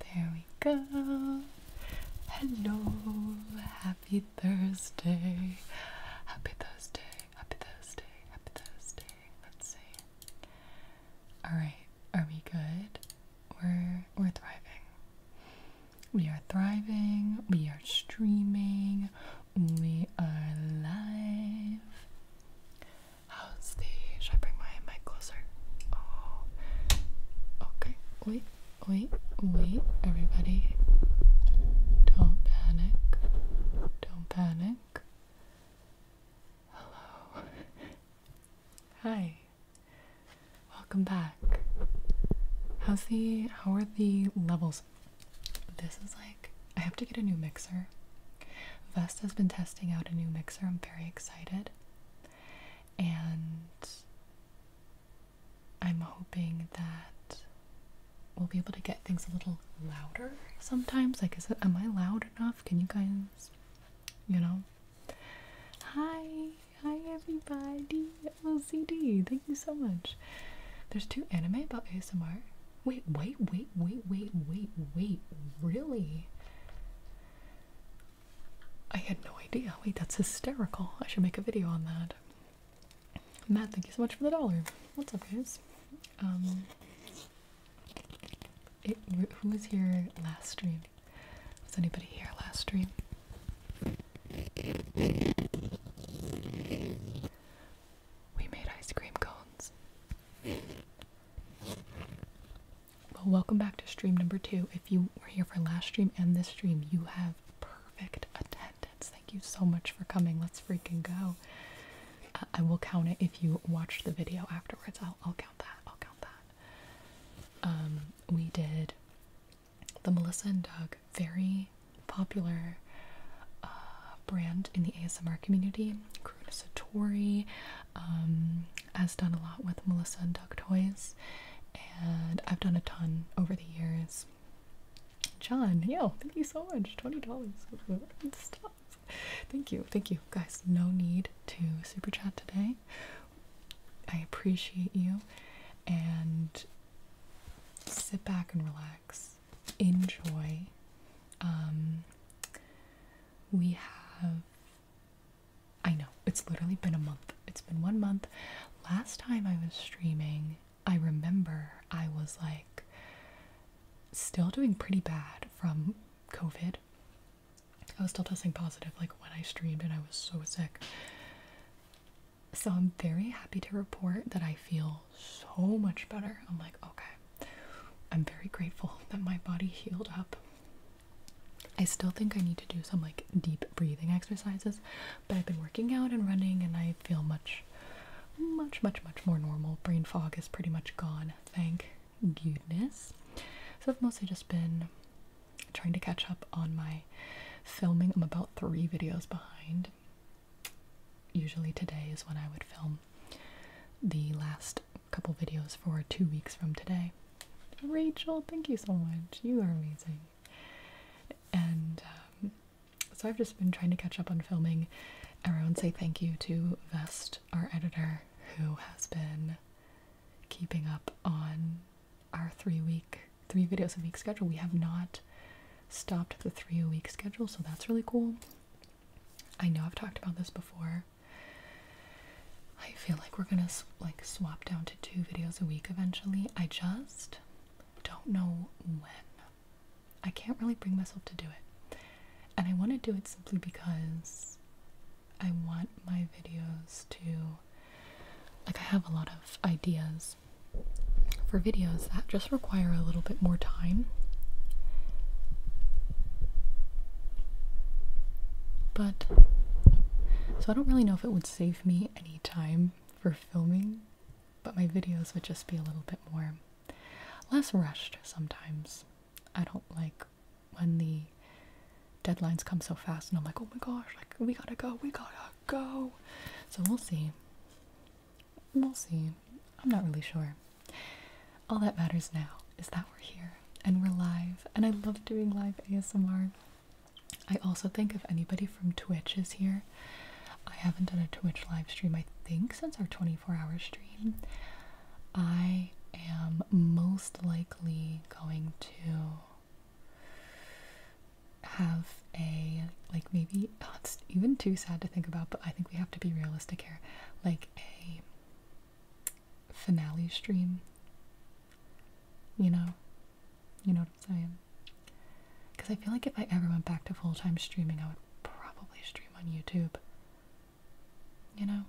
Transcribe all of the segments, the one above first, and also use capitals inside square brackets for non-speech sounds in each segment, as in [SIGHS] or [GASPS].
There we go. Hello, happy Thursday. Happy Thursday, happy Thursday, happy Thursday. Let's see. Alright, are we good? We're we're thriving. We are thriving, we are streaming, we are live. How's the should I bring my mic closer? Oh okay. Wait, wait, wait, everybody. Don't panic. Don't panic. Hello. [LAUGHS] Hi. Welcome back. How's the how are the levels? This is like I have to get a new mixer. Vesta's been testing out a new mixer. I'm very excited. And I'm hoping that we'll be able to get things a little louder sometimes. Like, is it, am I loud enough? Can you guys, you know? Hi, hi everybody, LCD. Thank you so much. There's two anime about ASMR. Wait, wait, wait, wait, wait, wait, wait, really? I had no idea. Wait, that's hysterical. I should make a video on that. Matt, thank you so much for the dollar. What's up, guys? Um, who was here last stream? Was anybody here last stream? We made ice cream cones. Well, welcome back to stream number two. If you were here for last stream and this stream, you have perfect attendance. Thank you so much for coming. Let's freaking go. Uh, I will count it if you watched the video afterwards. I'll, count that. I'll count that. Um, we did the Melissa and Doug, very popular uh, brand in the ASMR community. Karuna Satori um, has done a lot with Melissa and Duck Toys, and I've done a ton over the years. John, yo, thank you so much. Twenty dollars. Thank you, thank you, guys. No need to super chat today. I appreciate you, and sit back and relax enjoy. Um, we have, I know, it's literally been a month. It's been one month. Last time I was streaming, I remember I was like still doing pretty bad from COVID. I was still testing positive like when I streamed and I was so sick. So I'm very happy to report that I feel so much better. I'm like, okay, I'm very grateful [LAUGHS] that my body healed up. I still think I need to do some like deep breathing exercises, but I've been working out and running and I feel much, much, much, much more normal. Brain fog is pretty much gone, thank goodness. So I've mostly just been trying to catch up on my filming. I'm about three videos behind. Usually today is when I would film the last couple videos for two weeks from today. Rachel, thank you so much. You are amazing. And um, so I've just been trying to catch up on filming. Everyone say thank you to Vest, our editor, who has been keeping up on our three week, three videos a week schedule. We have not stopped the three a week schedule, so that's really cool. I know I've talked about this before. I feel like we're gonna like swap down to two videos a week eventually. I just don't know when. I can't really bring myself to do it. And I want to do it simply because I want my videos to. Like, I have a lot of ideas for videos that just require a little bit more time. But so I don't really know if it would save me any time for filming, but my videos would just be a little bit more less rushed sometimes. I don't like when the deadlines come so fast and I'm like, oh my gosh, like we gotta go, we gotta go. So we'll see. We'll see. I'm not really sure. All that matters now is that we're here and we're live, and I love doing live ASMR. I also think if anybody from Twitch is here, I haven't done a Twitch live stream, I think, since our 24 hour stream. I am most likely going to have a, like, maybe, oh, it's even too sad to think about, but I think we have to be realistic here. Like, a finale stream. You know, you know what I'm saying? Because I feel like if I ever went back to full time streaming, I would probably stream on YouTube. You know?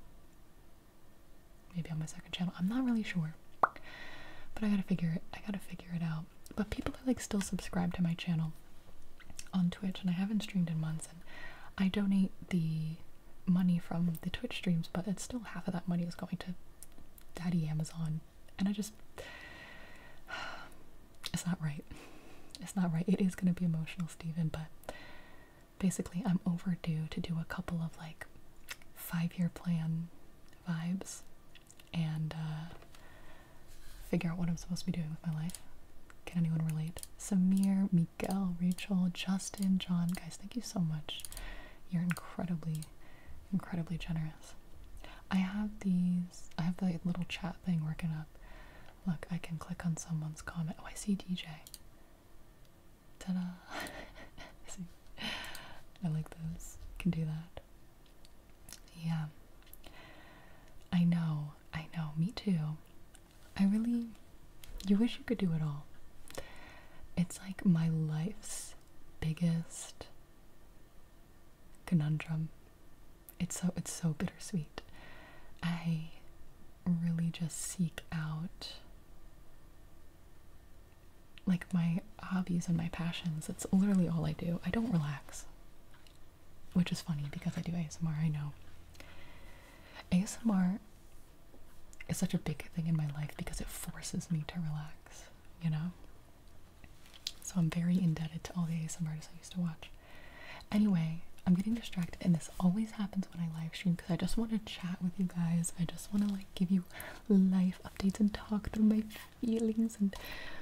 Maybe on my second channel. I'm not really sure. But I gotta figure it I gotta figure it out. But people are like still subscribed to my channel on Twitch and I haven't streamed in months I donate the money from the Twitch streams, but it's still half of that money is going to Daddy Amazon, and I just [SIGHS] it's not right. It's not right. It is going to be emotional, Stephen. but basically, I'm overdue to do a couple of like five year plan vibes and uh, figure out what I'm supposed to be doing with my life. Can anyone relate? Samir, me Gail, Rachel, Justin, John. Guys, thank you so much. You're incredibly, incredibly generous. I have these, I have the little chat thing working up. Look, I can click on someone's comment. Oh, I see DJ. Ta da! [LAUGHS] I like those. Can do that. Yeah. I know. I know. Me too. I really, you wish you could do it all. It's like my life's biggest conundrum. It's so it's so bittersweet. I really just seek out like my hobbies and my passions. It's literally all I do. I don't relax which is funny because I do ASMR, I know. ASMR is such a big thing in my life because it forces me to relax, you know? So I'm very indebted to all the ASMRs I used to watch. Anyway, I'm getting distracted and this always happens when I live stream because I just want to chat with you guys. I just want to like give you life updates and talk through my feelings and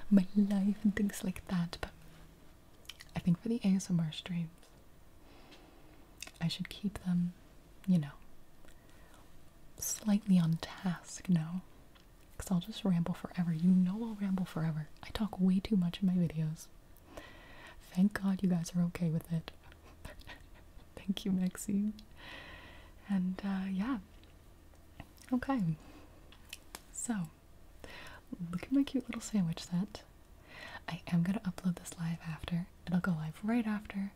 my life and things like that. But I think for the ASMR streams, I should keep them, you know, slightly on task now. Because I'll just ramble forever. You know I'll ramble forever. I talk way too much in my videos. Thank God you guys are okay with it. [LAUGHS] Thank you, Maxine. And uh, yeah. Okay. So, Look at my cute little sandwich set. I am going to upload this live after. It'll go live right after.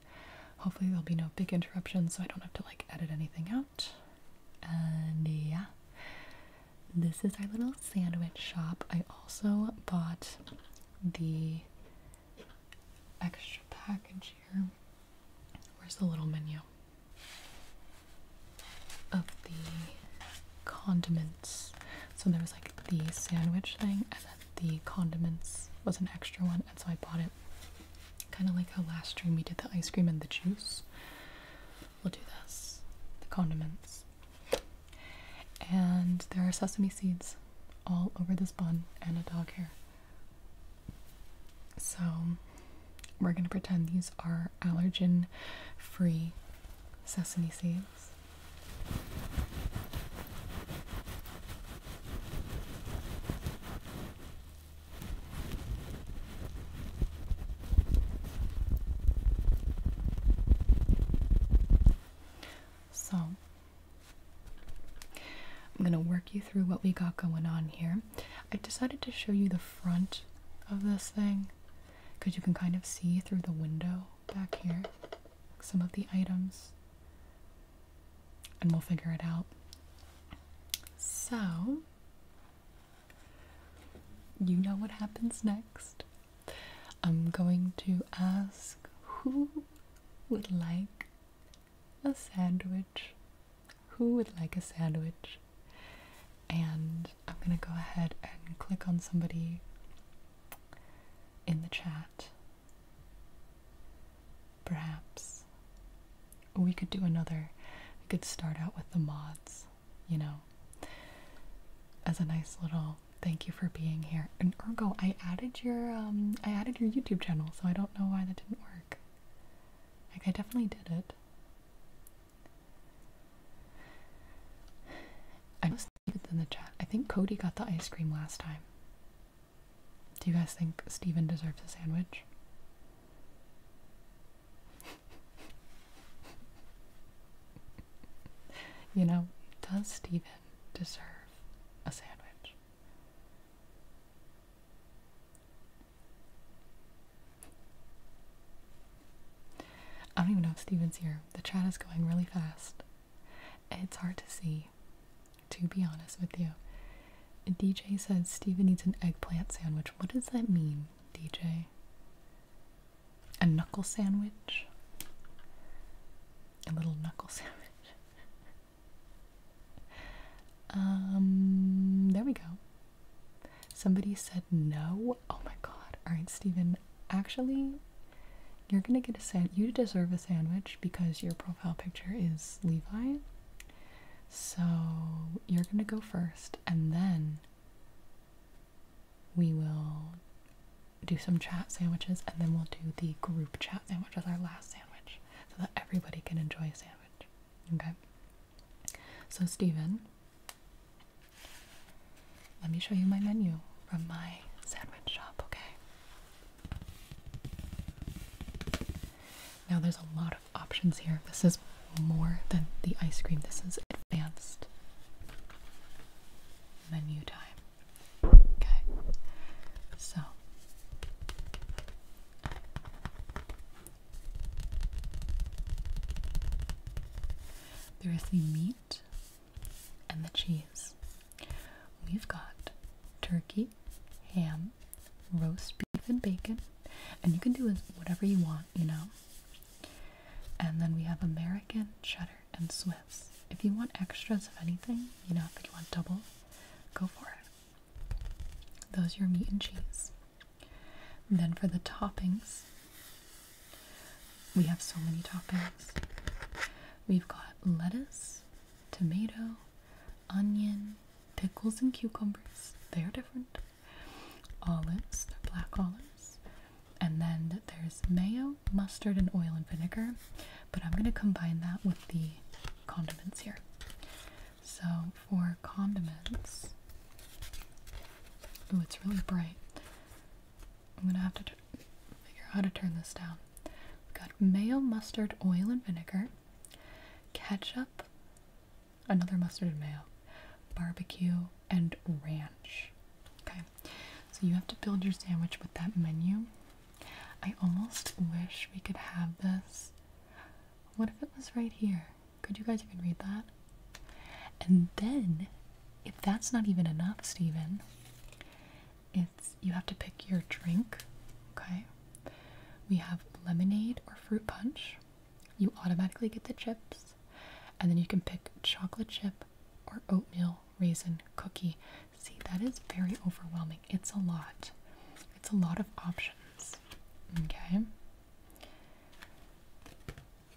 Hopefully, there'll be no big interruptions so I don't have to like edit anything out. And yeah, this is our little sandwich shop. I also bought the extra package here. Where's the little menu? Of the condiments. So there was like the sandwich thing, and then the condiments was an extra one, and so I bought it. Kind of like how last dream we did the ice cream and the juice. We'll do this the condiments. And there are sesame seeds all over this bun and a dog hair. So we're going to pretend these are allergen free sesame seeds. So, I'm going to work you through what we got going on here. I decided to show you the front of this thing because you can kind of see through the window back here some of the items and we'll figure it out. So, you know what happens next. I'm going to ask who would like a sandwich? Who would like a sandwich? And I'm gonna go ahead and click on somebody in the chat. Perhaps we could do another. We could start out with the mods, you know, as a nice little thank you for being here. And Ergo, I added your um, I added your YouTube channel, so I don't know why that didn't work. Like I definitely did it. I was in the chat. I think Cody got the ice cream last time. Do you guys think Steven deserves a sandwich? [LAUGHS] you know, does Steven deserve a sandwich? I don't even know if Steven's here. The chat is going really fast. It's hard to see, to be honest with you. DJ says Steven needs an eggplant sandwich. What does that mean, DJ? A knuckle sandwich? A little knuckle [LAUGHS] sandwich. um, there we go. Somebody said no. Oh my god. Alright, Steven. Actually, you're gonna get a sand. You deserve a sandwich because your profile picture is Levi. So you're gonna go first, and then we will do some chat sandwiches, and then we'll do the group chat sandwich as our last sandwich, so that everybody can enjoy a sandwich. Okay. So Stephen, let me show you my menu from my sandwich shop, okay? Now there's a lot of options here. This is more than the ice cream, this is advanced menu time. Okay, so. There is the meat and the cheese. We've got turkey, ham, roast beef, and bacon. And you can do whatever you want, you know. And then we have American, cheddar, and Swiss. If you want extras of anything, you know, if you want double, go for it. Those are your meat and cheese. then for the toppings, we have so many toppings. We've got lettuce, tomato, onion, pickles, and cucumbers. They are different. Olives, black olives. And then there's mayo, mustard, and oil and vinegar. But I'm going to combine that with the condiments here. So for condiments, oh, it's really bright. I'm gonna have to figure out how to turn this down. We've got mayo, mustard, oil, and vinegar, ketchup, another mustard and mayo, barbecue, and ranch. Okay, so you have to build your sandwich with that menu. I almost wish we could have this. What if it was right here? Could you guys even read that? And then if that's not even enough, Stephen, it's you have to pick your drink. Okay, we have lemonade or fruit punch. You automatically get the chips, and then you can pick chocolate chip or oatmeal raisin cookie. See, that is very overwhelming. It's a lot. It's a lot of options. Okay.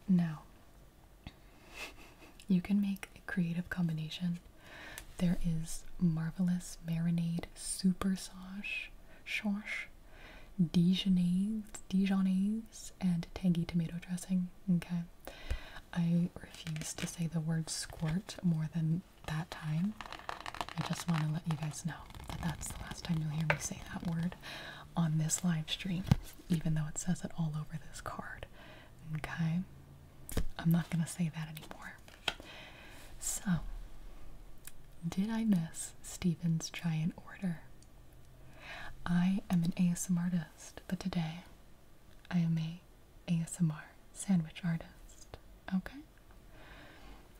Now, you can make a creative combination. There is marvelous marinade super sauce, sauce, Dijonaise, Dijonnaise, and tangy tomato dressing. Okay, I refuse to say the word squirt more than that time. I just want to let you guys know that that's the last time you'll hear me say that word on this live stream, even though it says it all over this card. Okay, I'm not gonna say that anymore. So, did I miss Stephen's giant order? I am an ASMR artist, but today I am a ASMR sandwich artist. Okay?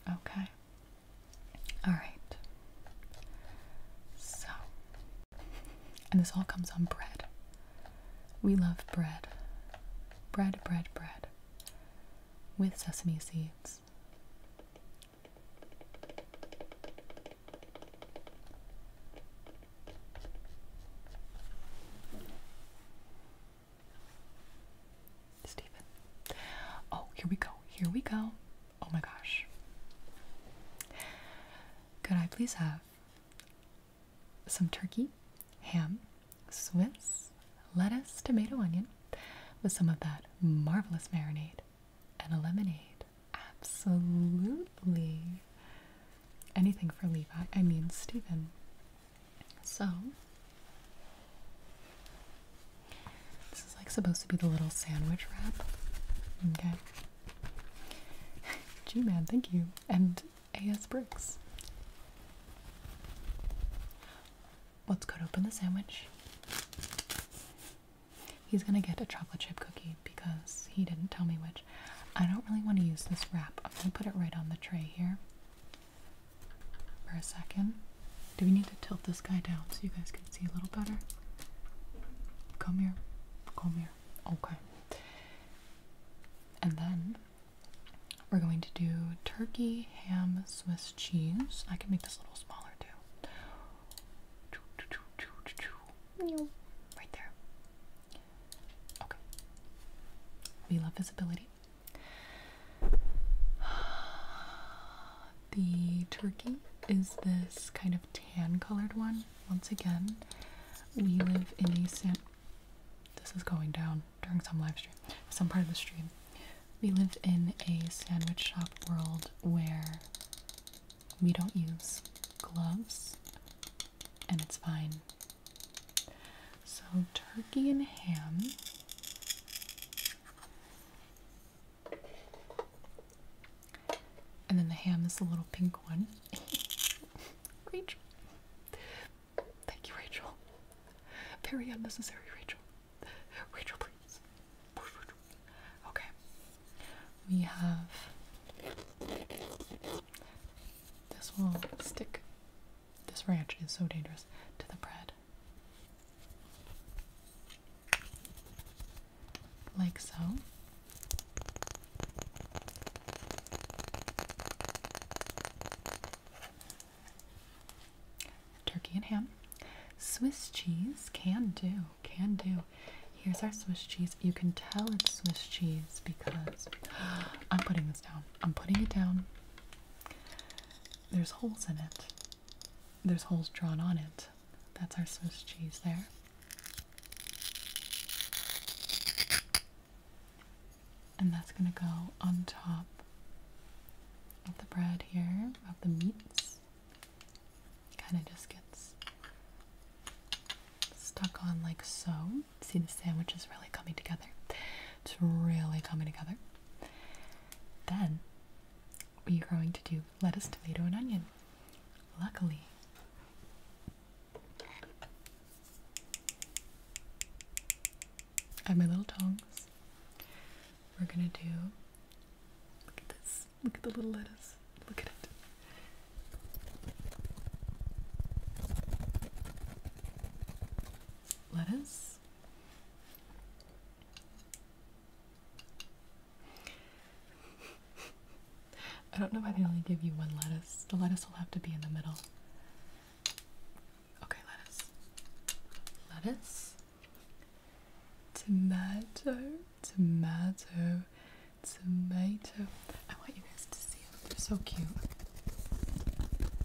Okay. Alright. So, and this all comes on bread. We love bread. Bread, bread, bread. With sesame seeds. Stephen. Oh, here we go. Here we go. Oh my gosh. Could I please have some turkey, ham, Swiss, lettuce, tomato, onion, with some of that marvelous marinade and a lemonade. Absolutely. Anything for Levi, I mean, Stephen. So, this is like supposed to be the little sandwich wrap. Okay. G-Man, thank you. And AS Bricks. Let's cut open the sandwich. He's gonna get a chocolate chip cookie because he didn't tell me which. I don't really want to use this wrap. I'm gonna put it right on the tray here for a second. Do we need to tilt this guy down so you guys can see a little better? Come here. Come here. Okay. And then we're going to do turkey, ham, Swiss cheese. I can make this a little smaller too. Right there. Okay. We love visibility. The turkey is this kind of tan colored one once again, we live in a This is going down during some live stream, some part of the stream. We live in a sandwich shop world where we don't use gloves, and it's fine. So, turkey and ham. And then the ham is the little pink one. [LAUGHS] Rachel. Thank you, Rachel. Very unnecessary, Rachel. Rachel, please. Okay. We have. This will stick. This ranch is so dangerous to the bread. Like so. Turkey and ham. Swiss cheese can do, can do. Here's our Swiss cheese. You can tell it's Swiss cheese because [GASPS] I'm putting this down. I'm putting it down. There's holes in it, there's holes drawn on it. That's our Swiss cheese there. And that's going to go on top of the bread here, of the meats. Kind of just gets stuck on like so. See, the sandwich is really coming together. It's really coming together. Then we are going to do lettuce, tomato, and onion. Luckily, I have my little tongs. We're gonna do. Look at this. Look at the little lettuce. Look at it. Lettuce. I don't know why they only give you one lettuce. The lettuce will have to be in the middle. Okay, lettuce. Lettuce. Tomato. Tomato. Tomato. I want you guys to see them. They're so cute.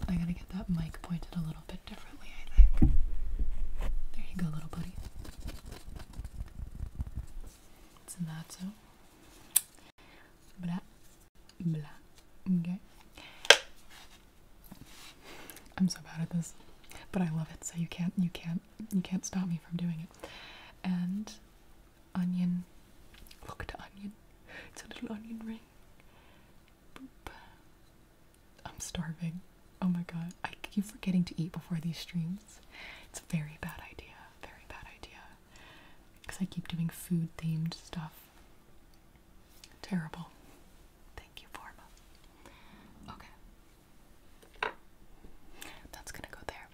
I gotta get that mic pointed a little bit differently, I think. There you go, little buddy. Tomato. Blah, blah. Okay. I'm so bad at this, but I love it. So you can't, you can't, you can't stop me from doing it. And onion. Look to onion. It's a little onion ring. Boop. I'm starving. Oh my god. I keep forgetting to eat before these streams. It's a very bad idea. Very bad idea because I keep doing food themed stuff. Terrible. Thank you, Forma. Okay. That's gonna go there.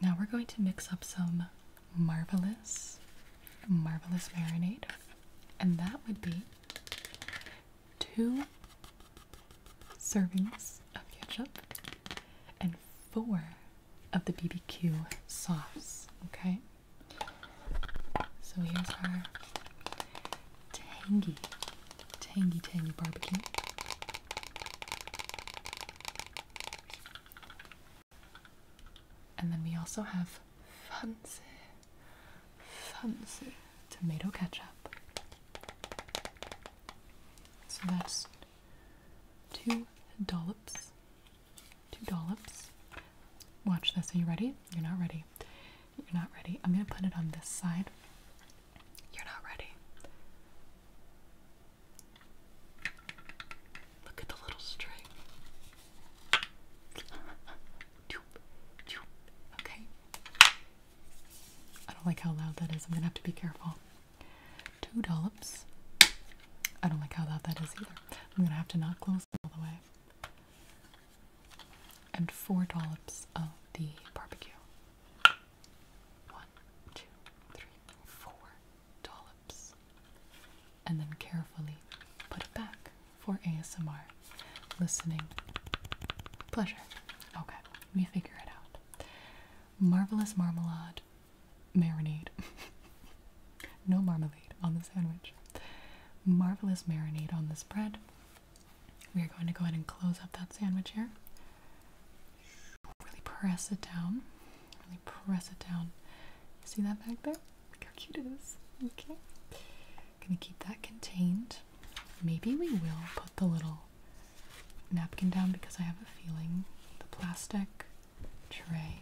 Now we're going to mix up some marvelous, marvelous marinade, and that would be two servings of ketchup and four of the BBQ sauce. Okay, so here's our tangy, tangy, tangy barbecue. And then we also have fancy, fancy tomato ketchup. So that's two dollops. Two dollops. Watch this. Are you ready? You're not ready. You're not ready. I'm gonna put it on this side. You're not ready. Look at the little string. Okay. I don't like how loud that is. I'm gonna have to be careful. Two dollops. I don't like how loud that is either. I'm gonna have to not close all the way. And four dollops of the barbecue. One, two, three, four dollops. And then carefully put it back for ASMR listening pleasure. Okay, we figure it out. Marvelous marmalade marinade. [LAUGHS] no marmalade on the sandwich. Marvelous marinade on this bread. We are going to go ahead and close up that sandwich here. Really press it down. Really press it down. See that bag there? Look how cute it is. Okay. Gonna keep that contained. Maybe we will put the little napkin down because I have a feeling the plastic tray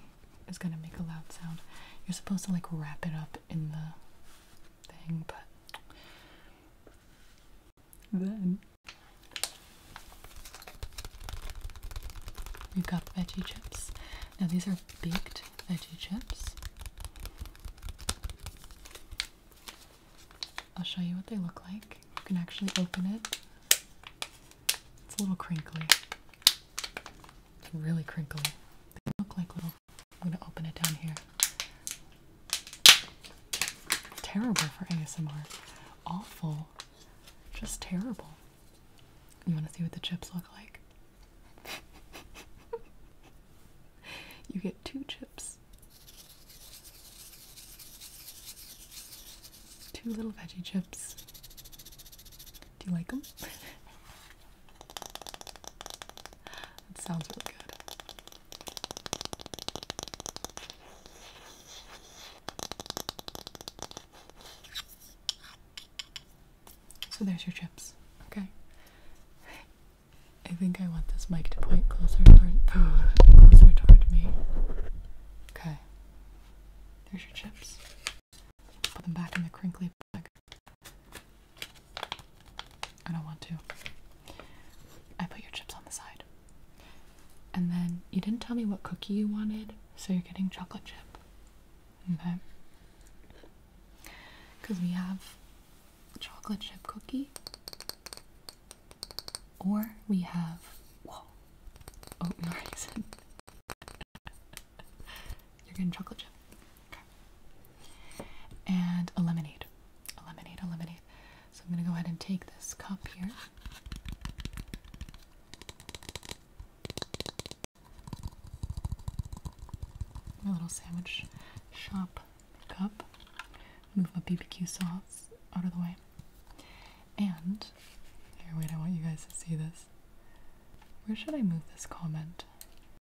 is gonna make a loud sound. You're supposed to like wrap it up in the thing, but then we've got veggie chips. Now these are baked veggie chips. I'll show you what they look like. You can actually open it. It's a little crinkly. It's really crinkly. They look like little. I'm gonna open it down here. Terrible for ASMR. Awful. Just terrible. You wanna see what the chips look like? [LAUGHS] you get two chips. Two little veggie chips. Do you like them? [LAUGHS] that sounds really good. So there's your chips. Okay. I think I want this mic to point closer toward [GASPS] closer toward me. Okay. There's your chips. Put them back in the crinkly bag. I don't want to. I put your chips on the side. And then you didn't tell me what cookie you wanted, so you're getting chocolate chip. Okay? Because we have chocolate chip cookie or we have oh, [LAUGHS] You're getting chocolate chip. Okay. And a lemonade. A lemonade, a lemonade. So I'm gonna go ahead and take this cup here. My little sandwich shop cup move my BBQ sauce out of the way. And here, wait, I want you guys to see this. Where should I move this comment?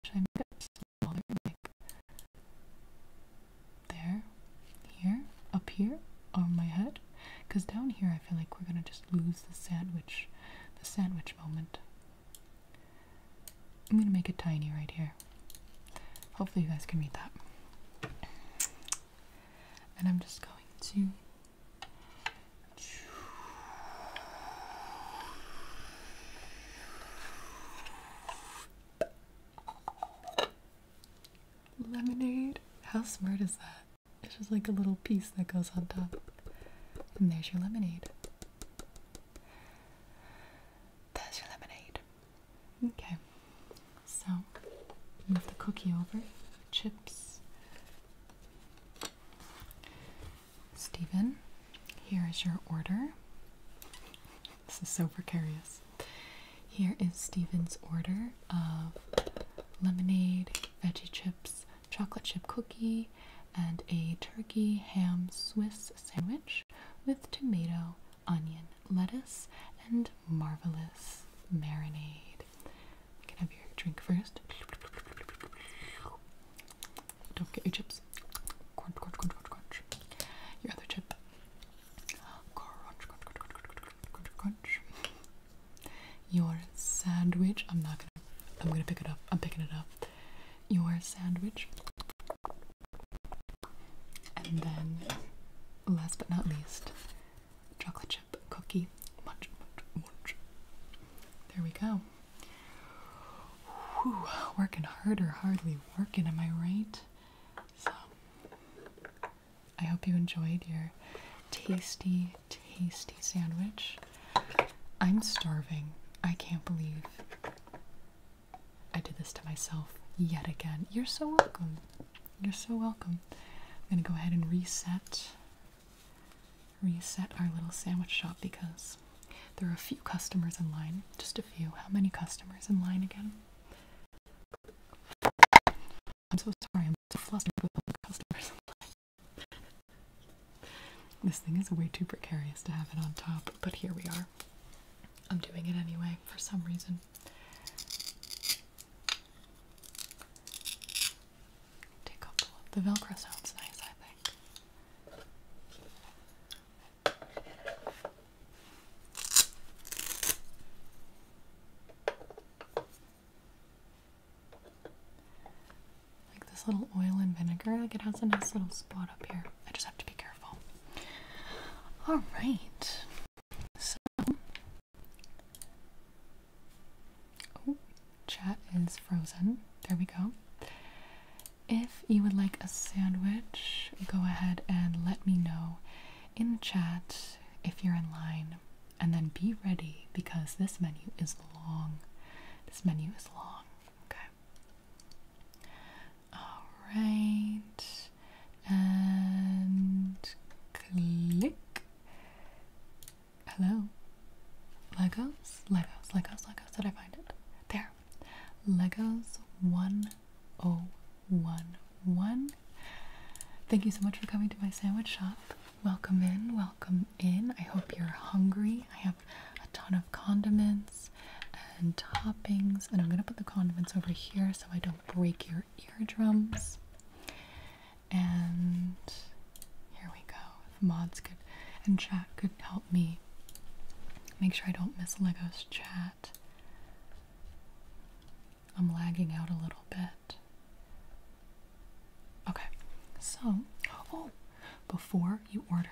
Should I make it smaller? Like there, here, up here, on my head? Because down here, I feel like we're gonna just lose the sandwich, the sandwich moment. I'm gonna make it tiny right here. Hopefully, you guys can read that and I'm just going to lemonade. How smart is that? It's just like a little piece that goes on top, and there's your lemonade. There's your lemonade. Okay, so move the cookie over, chips. Stephen, here is your order. This is so precarious. Here is Stephen's order of lemonade, veggie chips, chocolate chip cookie, and a turkey ham Swiss sandwich with tomato onion, lettuce, and marvelous marinade. You can have your drink first. Don't get your chips. Crunch, crunch, crunch, crunch, crunch. Your other chip. Crunch, crunch, crunch, crunch, crunch, crunch, crunch. Your sandwich. I'm not gonna. I'm gonna pick it up. I'm picking it up. Your sandwich. And then, last but not least, chocolate chip cookie. Munch, munch, munch. There we go. Whew, working harder, hardly working, am I right? So, I hope you enjoyed your tasty, tasty sandwich. I'm starving. I can't believe I did this to myself yet again. You're so welcome. You're so welcome. I'm gonna go ahead and reset reset our little sandwich shop because there are a few customers in line. Just a few. How many customers in line again? I'm so sorry, I'm so flustered with all the customers in line. this thing is way too precarious to have it on top, but here we are. I'm doing it anyway for some reason the, the Velcro sounds nice, I think. Like this little oil and vinegar, like it has a nice little spot up here. I just have to be careful. Alright, so Oh, chat is frozen. There we go. If you would like a sandwich, go ahead and let me know in chat if you're in line. And then be ready because this menu is long. This menu is long. Okay. Alright and click. Hello. Legos, Legos, Legos, Legos. Did I find it? There. Legos 1011. Thank you so much for coming to my sandwich shop. Welcome in, welcome in. I hope you're hungry. I have a ton of condiments and toppings, and I'm gonna put the condiments over here so I don't break your your eardrums. And here we go. mods could and chat could help me make sure I don't miss Lego's chat. I'm lagging out a little bit. Okay, so, oh, before you order,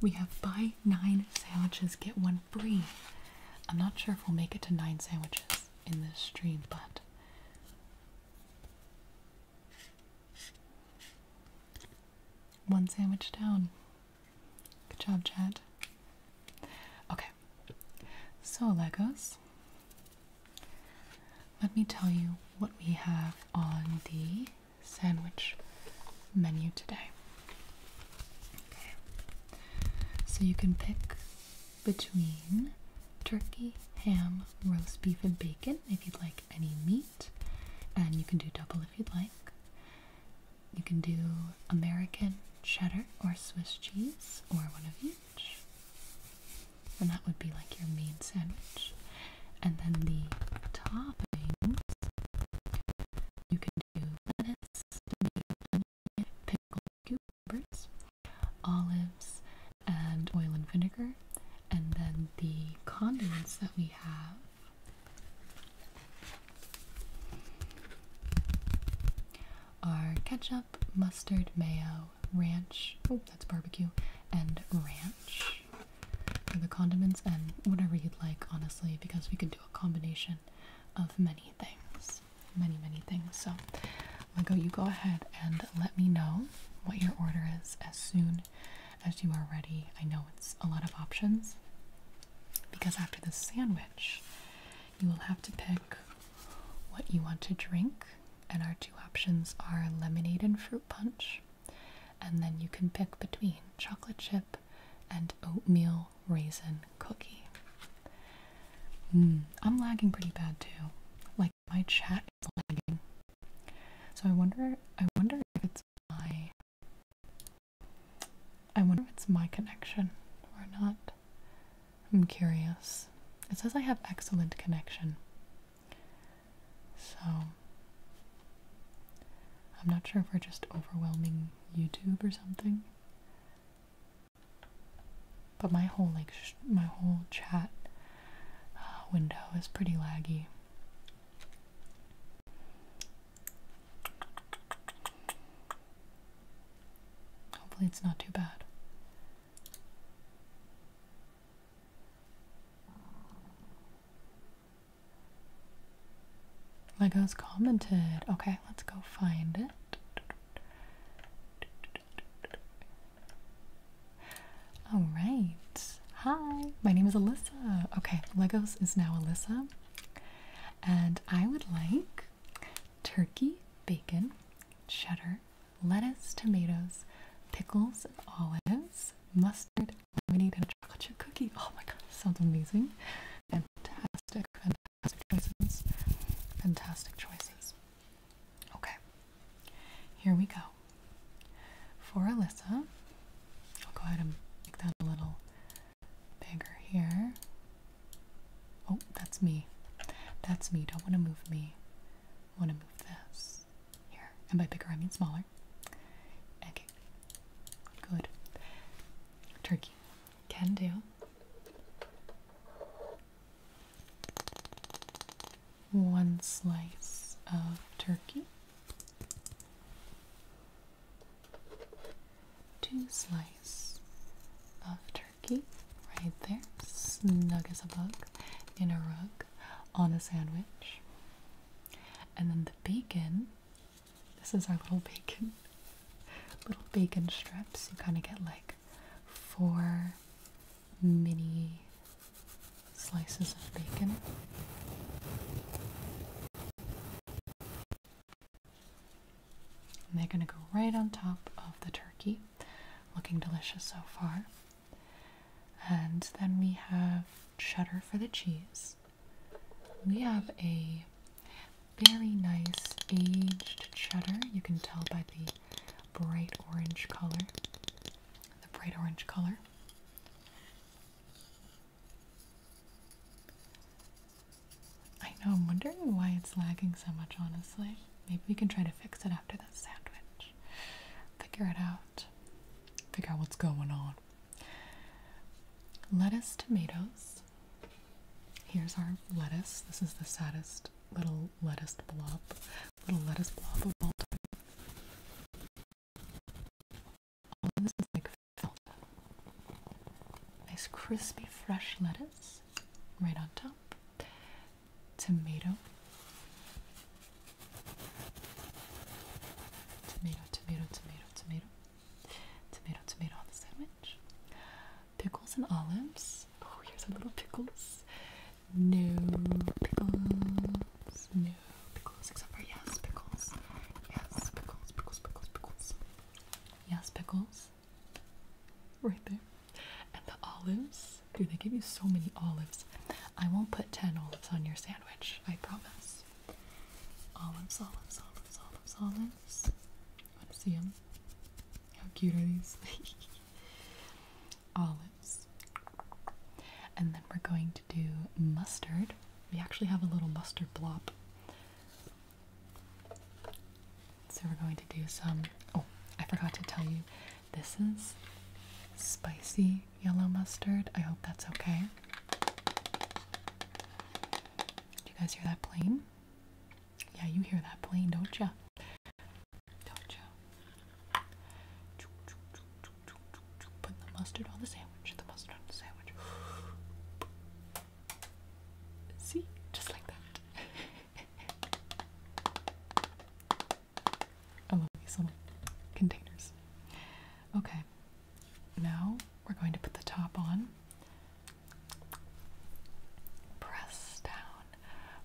we have buy nine sandwiches, get one free. I'm not sure if we'll make it to nine sandwiches in this stream, but one sandwich down. Good job, Chad. Okay, so Legos, let me tell you what we have on the sandwich menu today. Okay. So you can pick between turkey, ham, roast beef, and bacon if you'd like any meat, and you can do double if you'd like. You can do American cheddar or Swiss cheese or one of each. And that would be like your main sandwich. And then the toppings you can do lettuce, pickled cucumbers, olives, and oil and vinegar. And then the condiments that we have. Are ketchup, mustard, mayo, ranch, oh, that's barbecue, and ranch for the condiments and whatever you'd like, honestly, because we could do a combination of many things. Many, many things. So, Lego, you go ahead and let me know what your order is as soon as you are ready. I know it's a lot of options because after the sandwich, you will have to pick what you want to drink, and our two options are lemonade and fruit punch and then you can pick between chocolate chip and oatmeal raisin cookie. Mm, I'm lagging pretty bad too. Like my chat is lagging. So I wonder I wonder if it's my I wonder if it's my connection or not. I'm curious. It says I have excellent connection. So I'm not sure if we're just overwhelming YouTube or something. But my whole like my whole chat uh, window is pretty laggy. Hopefully it's not too bad. Legos commented. Okay, let's go find it. All right. Hi, my name is Alyssa. Okay, Legos is now Alyssa. And I would like turkey, bacon, cheddar, lettuce, tomatoes, pickles, and olives, mustard, we need a chocolate chip cookie. Oh my god, sounds amazing. Fantastic, fantastic choices. Fantastic choices. Okay, here we go. For Alyssa, I'll go ahead and make that a little bigger here. Oh, that's me. That's me. Don't want to move me. Want to move this here. And by bigger, I mean smaller. Okay, good. Turkey can do. One slice of turkey, two slice of turkey, right there, snug as a bug, in a rug, on the sandwich. And then the bacon, this is our little bacon, [LAUGHS] little bacon strips. You kind of get like four mini slices of bacon. And they're going to go right on top of the turkey. Looking delicious so far. And then we have cheddar for the cheese. We have a very nice aged cheddar. You can tell by the bright orange color. The bright orange color. I know, I'm wondering why it's lagging so much, honestly. Maybe we can try to fix it after the sandwich. Figure it out figure out what's going on. Lettuce, tomatoes. Here's our lettuce. This is the saddest little lettuce blob, little lettuce blob of all time. Oh, this is like Nice crispy fresh lettuce right on top. Tomato. Tomato, tomato, tomato, tomato. Tomato, tomato on the sandwich. Pickles and olives. Oh, here's a little pickles. No pickles. No pickles. Except for yes, pickles. Yes, pickles, pickles, pickles, pickles. Yes, pickles. Right there. And the olives. Dude, they give you so many olives. I won't put 10 olives on your sandwich sandwich, I promise. Olives, olives, olives, olives, olives. Want to see them? How cute are these? [LAUGHS] olives. And then we're going to do mustard. We actually have a little mustard blob. So we're going to do some. Oh, I forgot to tell you, this is spicy yellow mustard. I hope that's okay. Do you guys hear that plane? Yeah, you hear that plane, don't you? Don't ya? Put the mustard on the sandwich. The mustard on the sandwich. See? Just like that. [LAUGHS] I love these little containers. Okay, now we're going to put the top on. Press down,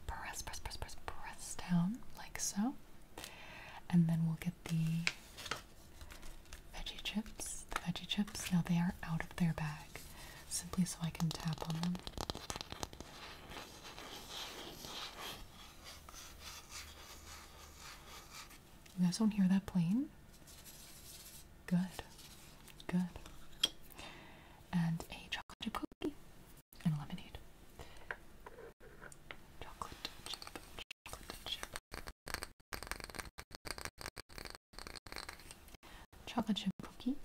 press, press, press, press, press down, like so. And then we'll get the veggie chips. The veggie chips, now they are out of their bag, simply so I can tap on them. You guys don't hear that plane? Good. Good. And a chocolate chip cookie and lemonade. Chocolate chip cookie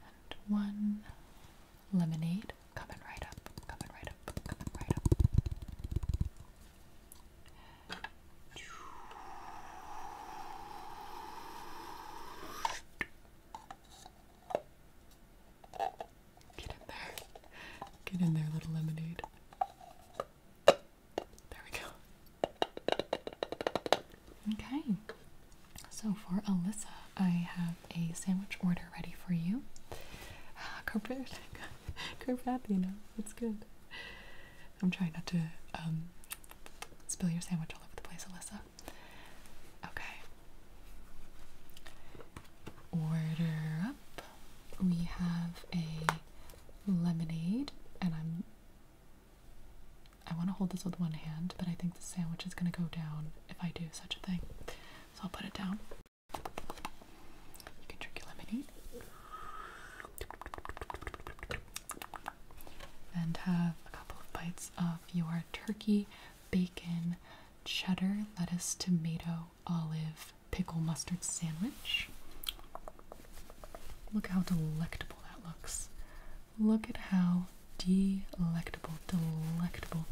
and one lemonade coming right up, coming right up, coming right up. Get in there. Get in there, little lemonade. There we go. Okay. So for Alyssa, I have a sandwich order ready for you. Ah, Carpathino, [LAUGHS] it's good. I'm trying not to um, spill your sandwich all over the place, Alyssa. Okay. Order up. We have a lemonade, and I'm. I want to hold this with one hand, but I think the sandwich is going to go down if I do such a thing. So I'll put it down. You can drink your lemonade and have a couple of bites of your turkey, bacon, cheddar, lettuce, tomato, olive, pickle mustard sandwich. Look how delectable that looks. Look at how delectable, delectable.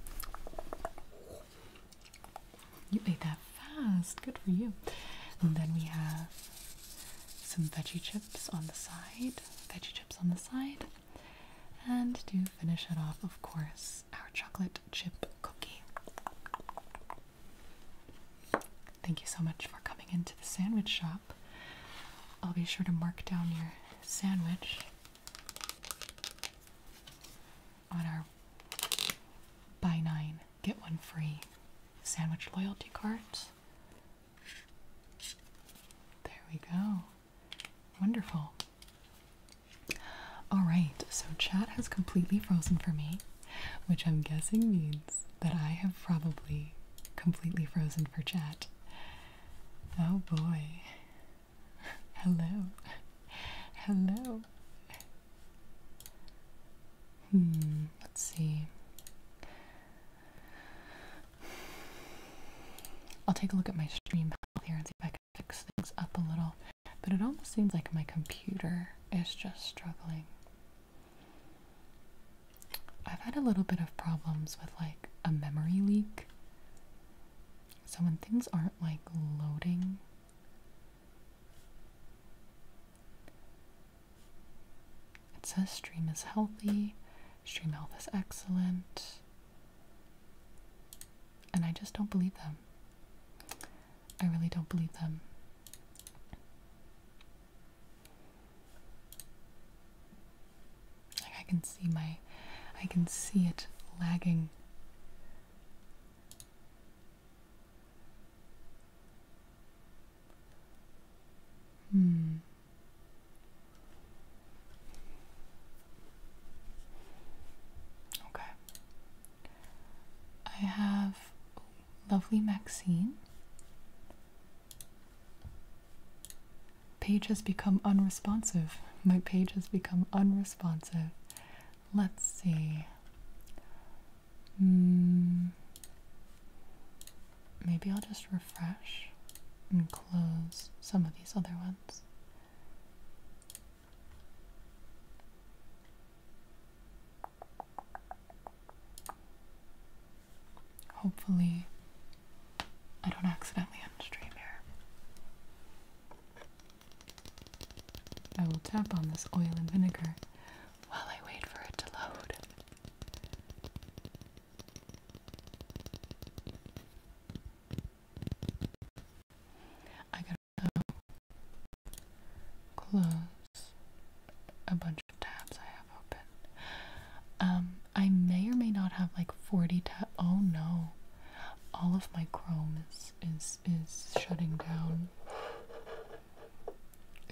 You ate that fast. Good for you. And then we have some veggie chips on the side. Veggie chips on the side. And to finish it off, of course, our chocolate chip cookie. Thank you so much for coming into the sandwich shop. I'll be sure to mark down your sandwich on our buy nine, get one free sandwich loyalty card. There we go. Wonderful. Alright, so chat has completely frozen for me, which I'm guessing means that I have probably completely frozen for chat. Oh boy. Hello. Hello. Hmm, let's see. I'll take a look at my stream here and see if I can fix things up a little. But it almost seems like my computer is just struggling. I've had a little bit of problems with like a memory leak. So when things aren't like loading it says stream is healthy, stream health is excellent. And I just don't believe them. I really don't believe them. I can see my I can see it lagging Hmm. Okay. I have lovely Maxine. Page has become unresponsive. My page has become unresponsive. Let's see. Hmm. maybe I'll just refresh and close some of these other ones. Hopefully, I don't accidentally end stream here. I will tap on this oil and vinegar while I wait for it to load. I can also close a bunch of tabs I have open. Um, I may or may not have like 40 tabs. Oh no, all of my Chrome is is is shutting down.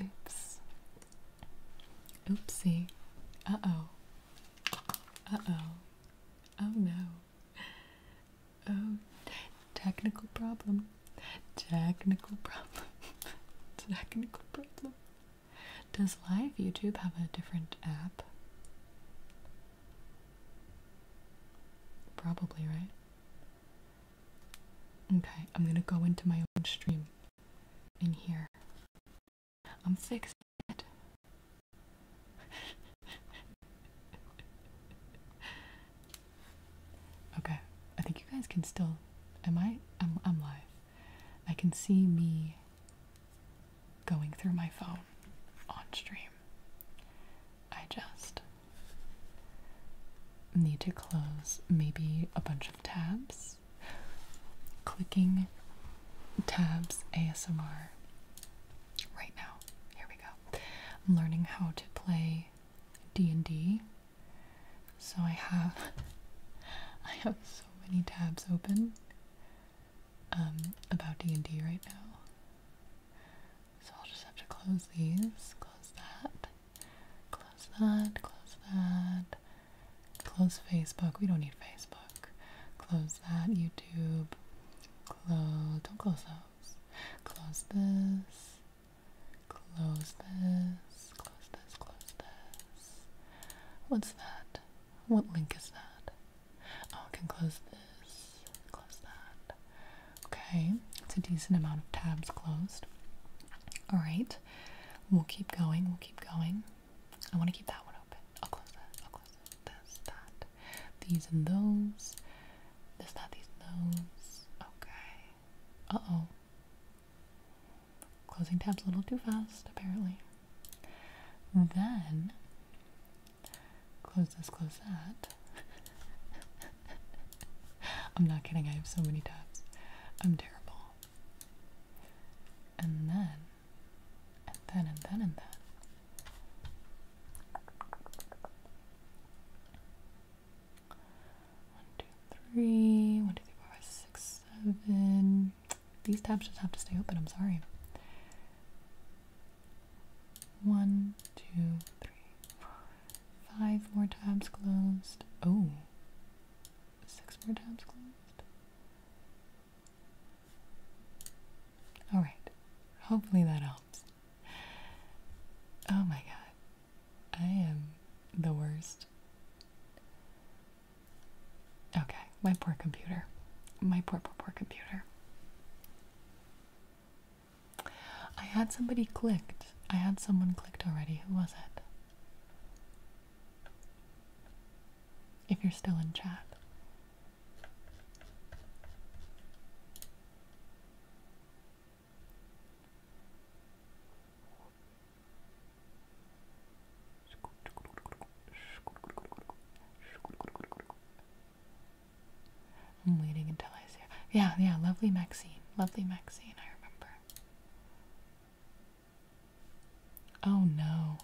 Oops. Oopsie. Uh-oh. Uh-oh. Oh no. Oh, technical problem. Technical problem. [LAUGHS] technical problem. Does live YouTube have a different app? Probably, right? Okay, I'm gonna go into my own stream in here. I'm fixing it. [LAUGHS] okay, I think you guys can still. Am I? I'm, I'm live. I can see me going through my phone on stream. I just need to close maybe a bunch of tabs. Clicking tabs ASMR right now. Here we go. I'm learning how to play D&D. So I have [LAUGHS] I have so many tabs open um, about D&D right now. So I'll just have to close these, close that, close that, close that, close Facebook. We don't need Facebook. Close that, YouTube. Close, don't close those. Close this, close this, close this, close this. What's that? What link is that? Oh, I can close this, close that. Okay, it's a decent amount of tabs closed. All right, we'll keep going, we'll keep going. I want to keep that one open. I'll close that, I'll close this, that, these and those, this, that, these those. Okay, uh-oh. Closing tabs a little too fast, apparently. Then Close this, close that. [LAUGHS] I'm not kidding, I have so many tabs. I'm terrible. And then, and then, and then, and then. One, two, three. One, two, three, four, five, six, seven. These tabs just have to stay open, I'm sorry. One, two, three, four, five more tabs closed. Oh, six more tabs closed. All right. Hopefully that helps. Oh my god. I am the worst. Okay, my poor computer. My poor, poor, poor computer. I had somebody clicked. I had someone clicked already. Who was it? If you're still in chat. I'm waiting until I see her. Yeah, yeah, lovely Maxine. Lovely Maxine, I remember. Oh no.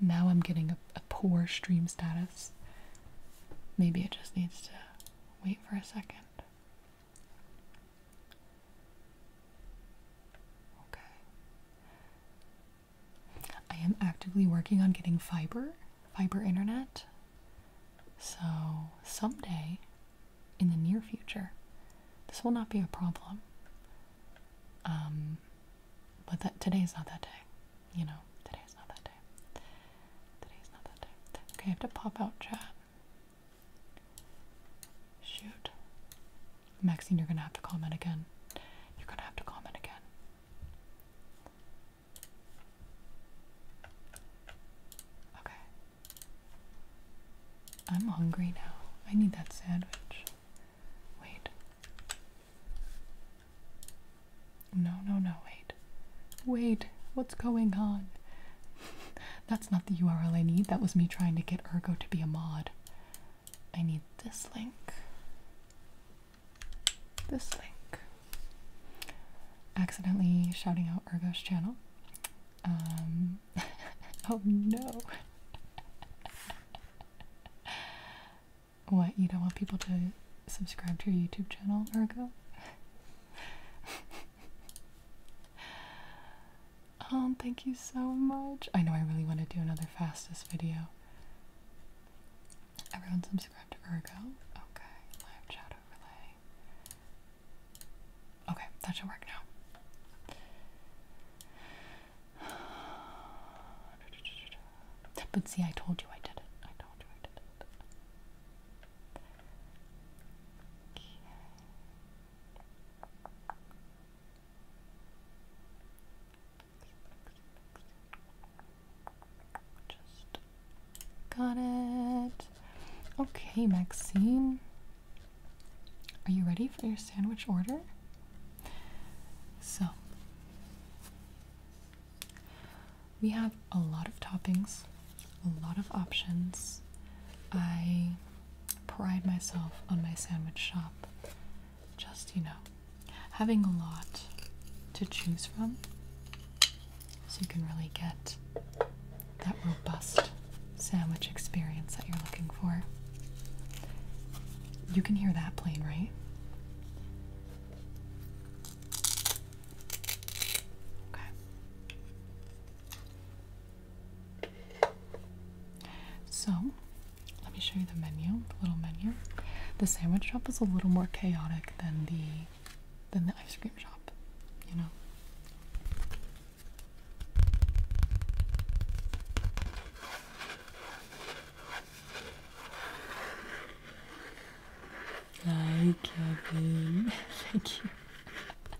Now I'm getting a, a poor stream status. Maybe it just needs to wait for a second. Okay. I am actively working on getting fiber, fiber internet. So, someday in the near future, this will not be a problem. Um, but that today is not that day. You know, today is not that day. Today is not that day. Okay, I have to pop out chat. Shoot. Maxine, you're gonna have to comment again. You're gonna have to comment again. Okay. I'm hungry now. I need that sandwich. Wait. No, no, no, wait. Wait, what's going on? [LAUGHS] That's not the URL I need. That was me trying to get Ergo to be a mod. I need this link this link. Accidentally shouting out Ergo's channel. Um, [LAUGHS] oh no. [LAUGHS] what, you don't want people to subscribe to your YouTube channel, Ergo? [LAUGHS] oh, thank you so much. I know I really want to do another fastest video. Everyone subscribed to Virgo. Okay, live chat overlay. Okay, that should work now. But see, I told you I did it. I told you I did it. Just got it. Okay, Maxine. Are you ready for your sandwich order? So, we have a lot of toppings, a lot of options. I pride myself on my sandwich shop just, you know, having a lot to choose from so you can really get that robust sandwich experience that you're looking for. You can hear that plane, right? Okay. So, let me show you the menu, the little menu. The sandwich shop is a little more chaotic than the than the ice cream shop, you know. Hi Kevin. [LAUGHS] Thank you.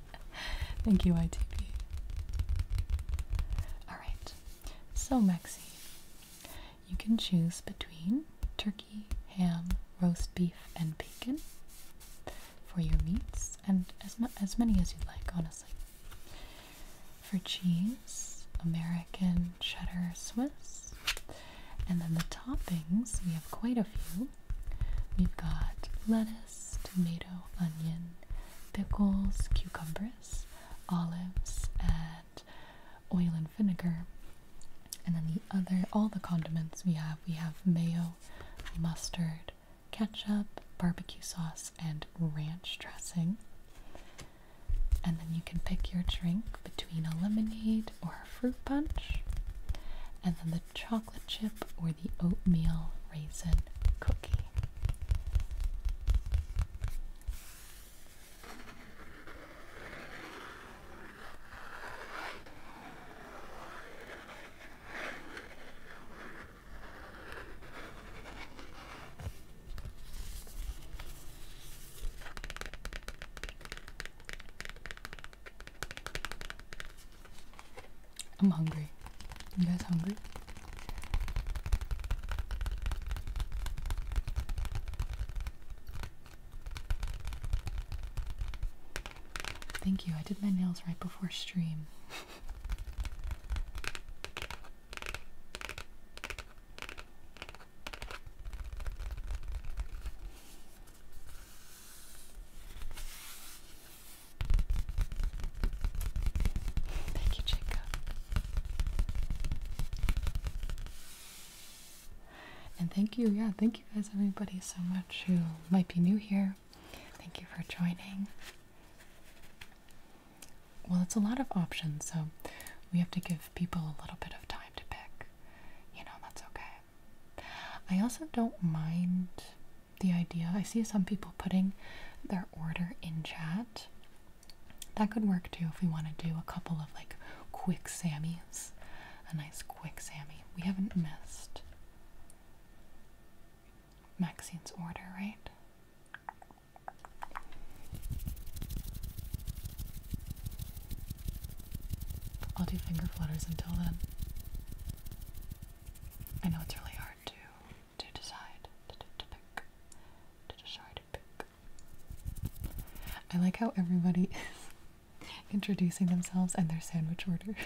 [LAUGHS] Thank you, ITP. Alright. So Maxie, you can choose between turkey, ham, roast beef, and bacon for your meats, and as, as many as you'd like, honestly. For cheese, American, cheddar, Swiss. And then the toppings, we have quite a few. We've got lettuce, tomato, onion, pickles, cucumbers, olives, and oil and vinegar. And then the other, all the condiments we have, we have mayo, mustard, ketchup, barbecue sauce, and ranch dressing. And then you can pick your drink between a lemonade or a fruit punch, and then the chocolate chip or the oatmeal raisin cookie. I'm hungry. You guys hungry? Thank you. I did my nails right before stream. Thank you, Jacob. And thank you, yeah, thank you guys, everybody, so much who might be new here. Thank you for joining. Well, it's a lot of options, so we have to give people a little bit of time to pick. You know, that's okay. I also don't mind the idea. I see some people putting their order in chat. That could work too if we want to do a couple of like quick Sammys. A nice quick Sammy. We haven't missed Maxine's order, right? I'll do finger flutters until then. I know it's really hard to to decide to pick to decide to pick. I like how everybody [LAUGHS] is introducing themselves and their sandwich order.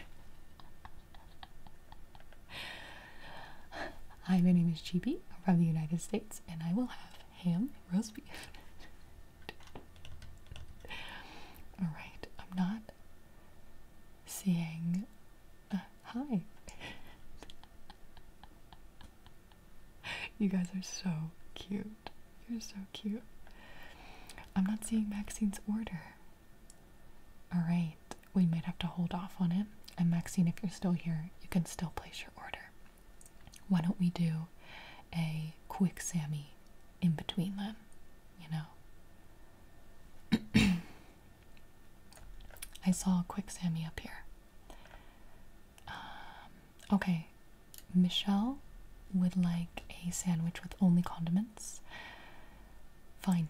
Hi, my name is Chibi. I'm from the United States, and I will have ham roast beef. [LAUGHS] All right, I'm not seeing. Uh, hi. [LAUGHS] you guys are so cute. You're so cute. I'm not seeing Maxine's order. Alright, we might have to hold off on it. And Maxine, if you're still here, you can still place your order. Why don't we do a quick Sammy in between them? You know? [CLEARS THROAT] I saw a quick Sammy up here. Um, okay, Michelle would like a sandwich with only condiments. Fine.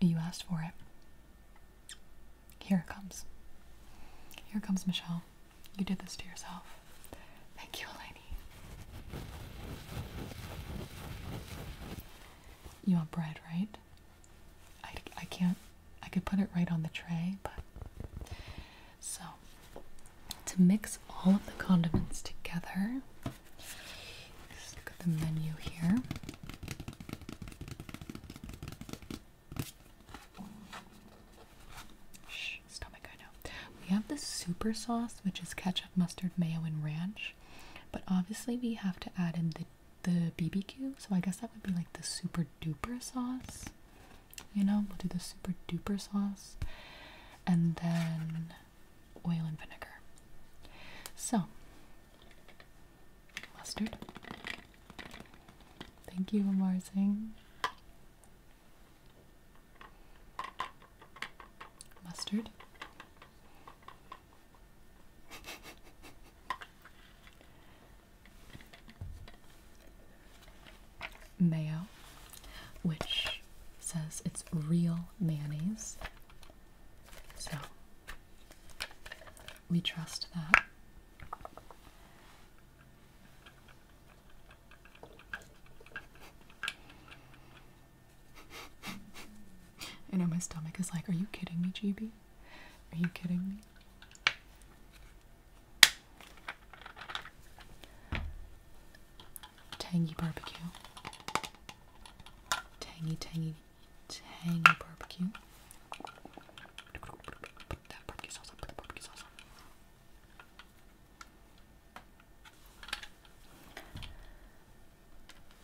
You asked for it. Here it comes. Here comes Michelle. You did this to yourself. Thank you, Eleni. You want bread, right? I, I can't I could put it right on the tray, but so to mix all of the condiments together, look at the menu here. Shh, stomach, I know. We have the super sauce, which is ketchup, mustard, mayo, and ranch, but obviously we have to add in the the BBQ, so I guess that would be like the super duper sauce. You know, we'll do the super duper sauce and then oil and vinegar. So, mustard. Thank you, Amar Singh. Mustard mayo, which says it's real mayonnaise. So we trust that. [LAUGHS] I know my stomach is like, are you kidding me, GB? Are you kidding me? Tangy barbecue. Tangy, tangy, tangy barbecue.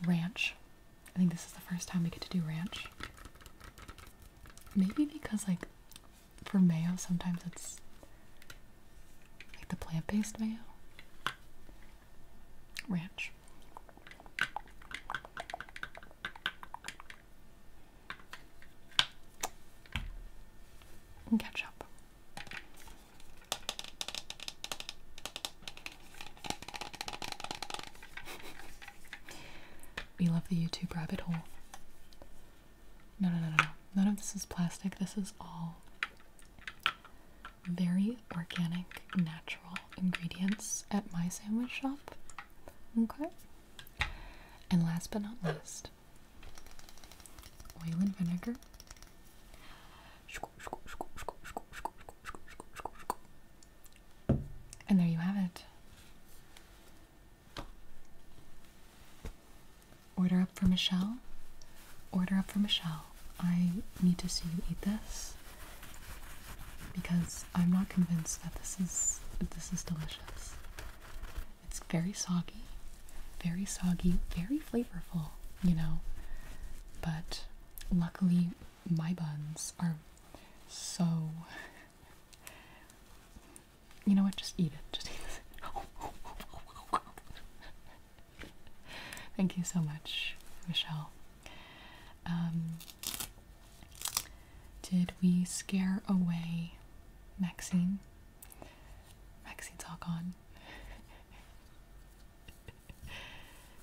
Ranch. I think this is the first time we get to do ranch. Maybe because, like, for mayo, sometimes it's like the plant based mayo, ranch. ketchup. We love the YouTube rabbit hole. No, no, no, no, None of this is plastic. This is all very organic, natural ingredients at my sandwich shop. Okay? And last but not least, oil and vinegar. And there you have it. Order up for Michelle. Order up for Michelle. I need to see you eat this because I'm not convinced that this is this is delicious. It's very soggy, very soggy, very flavorful, you know. But luckily my buns are so [LAUGHS] You know what? Just eat it. Just eat this. [LAUGHS] Thank you so much, Michelle. Um, did we scare away Maxine? Maxine's all gone.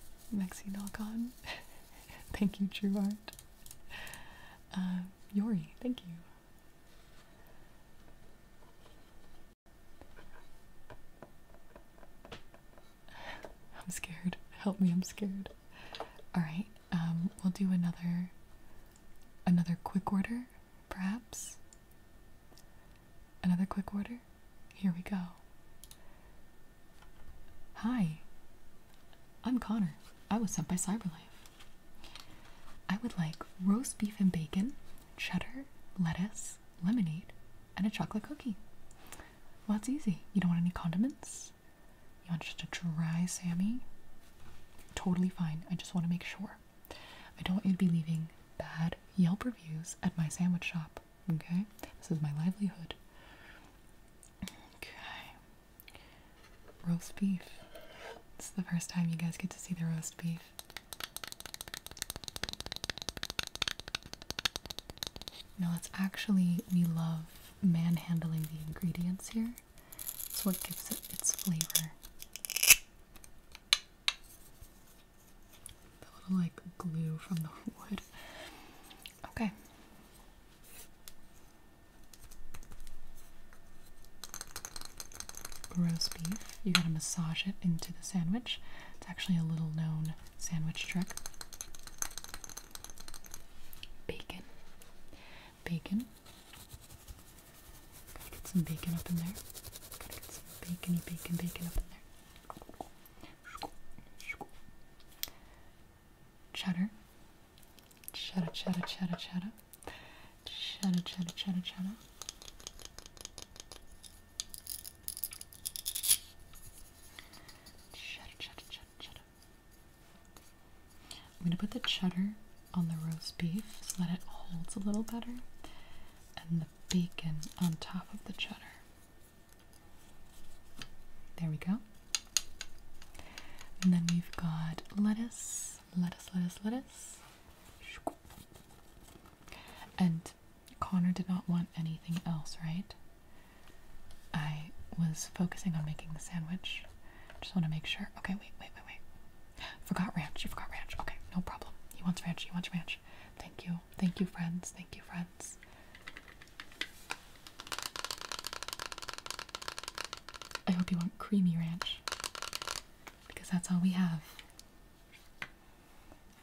[LAUGHS] Maxine all gone. [LAUGHS] Thank you, True Art. Um, Yori, thank you. I'm scared. Help me, I'm scared. Alright, um, we'll do another another quick order, perhaps. Another quick order? Here we go. Hi. I'm Connor. I was sent by Cyberlife. I would like roast beef and bacon, cheddar, lettuce, lemonade, and a chocolate cookie. Well, that's easy. You don't want any condiments? You want just a dry Sammy? Totally fine. I just want to make sure. I don't want you to be leaving bad Yelp reviews at my sandwich shop. Okay? This is my livelihood. Okay roast beef. This is the first time you guys get to see the roast beef. No, it's actually, we love manhandling the ingredients here. It's what gives it its flavor. The little like glue from the [LAUGHS] wood. Okay, Roast beef. You gotta massage it into the sandwich. It's actually a little known sandwich trick. Bacon. Bacon. Gotta get some bacon up in there. Gotta get some bacony bacon bacon up in there cheddar, cheddar, cheddar, cheddar, cheddar, cheddar, cheddar, cheddar, I'm going to put the cheddar on the roast beef so that it holds a little better, and the bacon on top of the cheddar. There we go. And then we've got lettuce, lettuce, lettuce, lettuce. And Connor did not want anything else, right? I was focusing on making the sandwich. Just want to make sure. Okay, wait, wait, wait, wait. [GASPS] Forgot ranch. You forgot ranch. Okay, no problem. He wants ranch. He wants ranch. Thank you. Thank you, friends. Thank you, friends. I hope you want creamy ranch because that's all we have.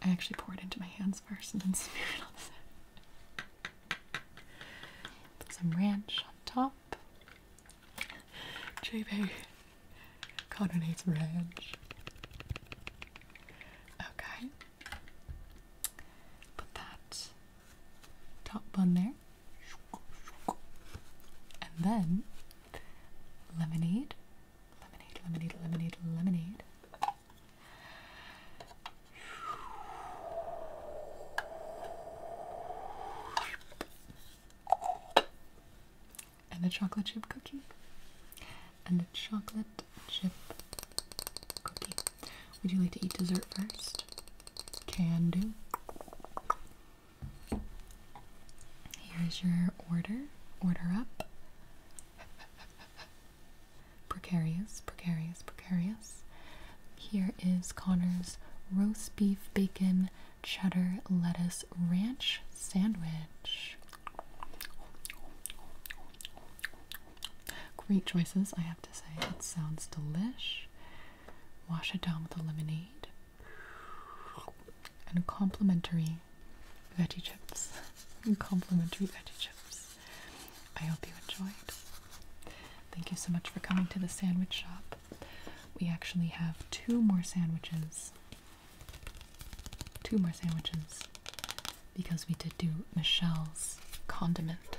I actually pour it into my hands first and then [LAUGHS] smear it on the side. Put some ranch on top. JP Connor needs ranch. Okay. Put that top bun there. And then lemonade, lemonade, lemonade, lemonade, lemonade. And a chocolate chip cookie. And a chocolate chip cookie. Would you like to eat dessert first? Can do. Here's your order. Order up. [LAUGHS] precarious, precarious, precarious. Here is Connor's roast beef, bacon, cheddar, lettuce, ranch sandwich. Great choices, I have to say. It sounds delish. Wash it down with a lemonade and complimentary veggie chips. [LAUGHS] complimentary veggie chips. I hope you enjoyed. Thank you so much for coming to the sandwich shop. We actually have two more sandwiches. Two more sandwiches because we did do Michelle's condiment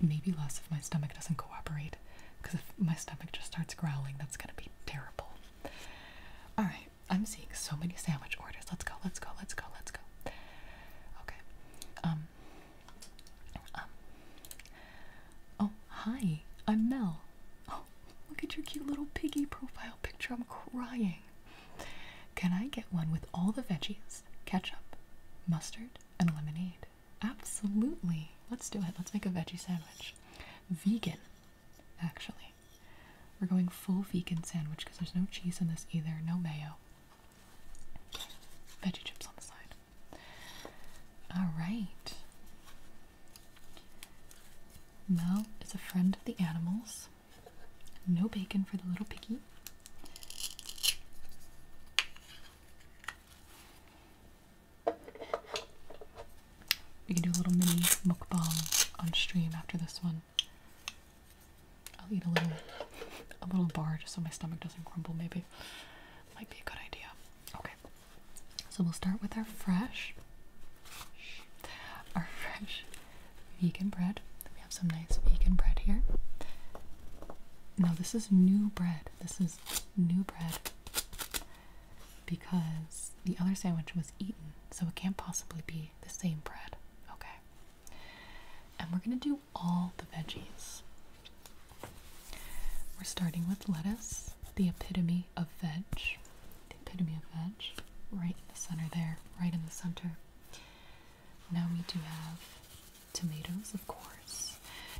maybe less if my stomach doesn't cooperate. Because if my stomach just starts growling, that's gonna be terrible. Alright, I'm seeing so many sandwich orders. Let's go, let's go, let's go, let's go. Okay. Um, um. Oh, hi, I'm Mel. Oh, look at your cute little piggy profile picture. I'm crying. Can I get one with all the veggies, ketchup, mustard, and lemonade? Absolutely. Let's do it. Let's make a veggie sandwich. Vegan, actually. We're going full vegan sandwich because there's no cheese in this either, no mayo. Veggie chips on the side. Alright. Mel is a friend of the animals. No bacon for the little piggy. We can do a little mini mukbang on stream after this one. I'll eat a little, a little bar just so my stomach doesn't crumble. Maybe might be a good idea. Okay, so we'll start with our fresh, our [LAUGHS] fresh vegan bread. We have some nice vegan bread here. No, this is new bread. This is new bread because the other sandwich was eaten, so it can't possibly be the same bread. Okay. And we're going to do all the veggies. We're starting with lettuce, the epitome of veg. The epitome of veg, right in the center there, right in the center. Now we do have tomatoes, of course,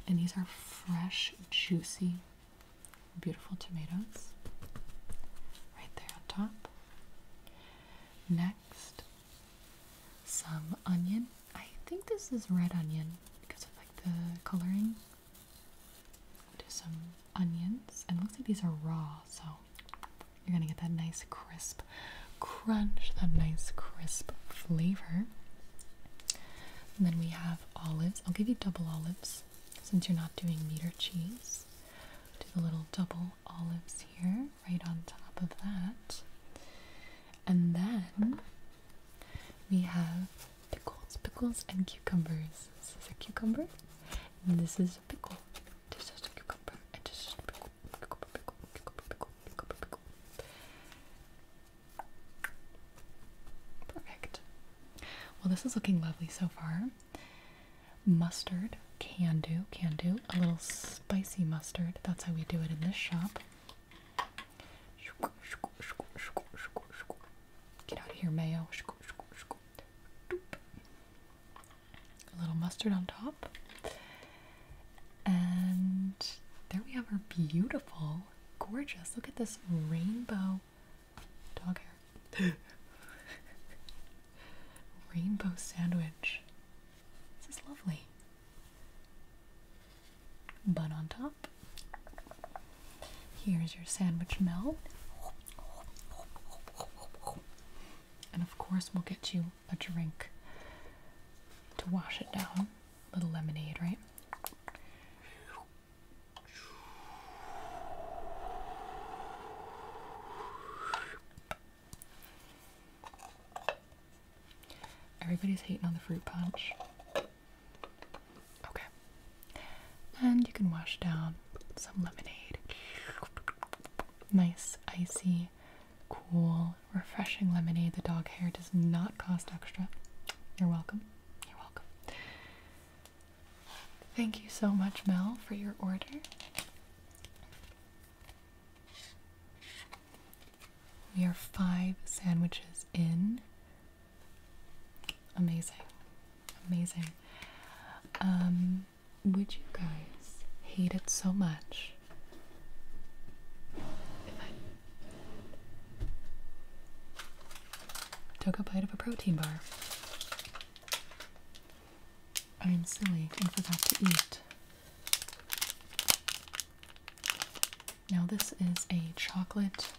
and these are fresh, juicy, beautiful tomatoes right there on top. Next, some onion. I think this is red onion because of like the coloring. do some onions, and it looks like these are raw, so you're gonna get that nice crisp crunch, that nice crisp flavor. And then we have olives. I'll give you double olives since you're not doing meat cheese. Do the little double olives here, right on top of that. And then we have pickles, pickles, and cucumbers. This is a cucumber, this is a pickle. This is a cucumber, and this pickle, pickle, pickle, pickle, pickle, Perfect. Well, this is looking lovely so far. Mustard, can do, can do. A little spicy mustard. That's how we do it in this shop. Get out of here, mayo a little mustard on top. And there we have our beautiful, gorgeous. Look at this rainbow dog hair. [GASPS] rainbow sandwich. This is lovely. Bun on top. Here's your sandwich melt. And of course, we'll get you a drink to wash it down. A little lemonade, right? Everybody's hating on the fruit punch. Okay. And you can wash down some lemonade. Nice, icy cool, refreshing lemonade. The dog hair does not cost extra. You're welcome. You're welcome. Thank you so much, Mel, for your order. We are five sandwiches in. Amazing. Amazing. Um, would you guys hate it so much I took a bite of a protein bar. I am silly and forgot to eat. Now, this is a chocolate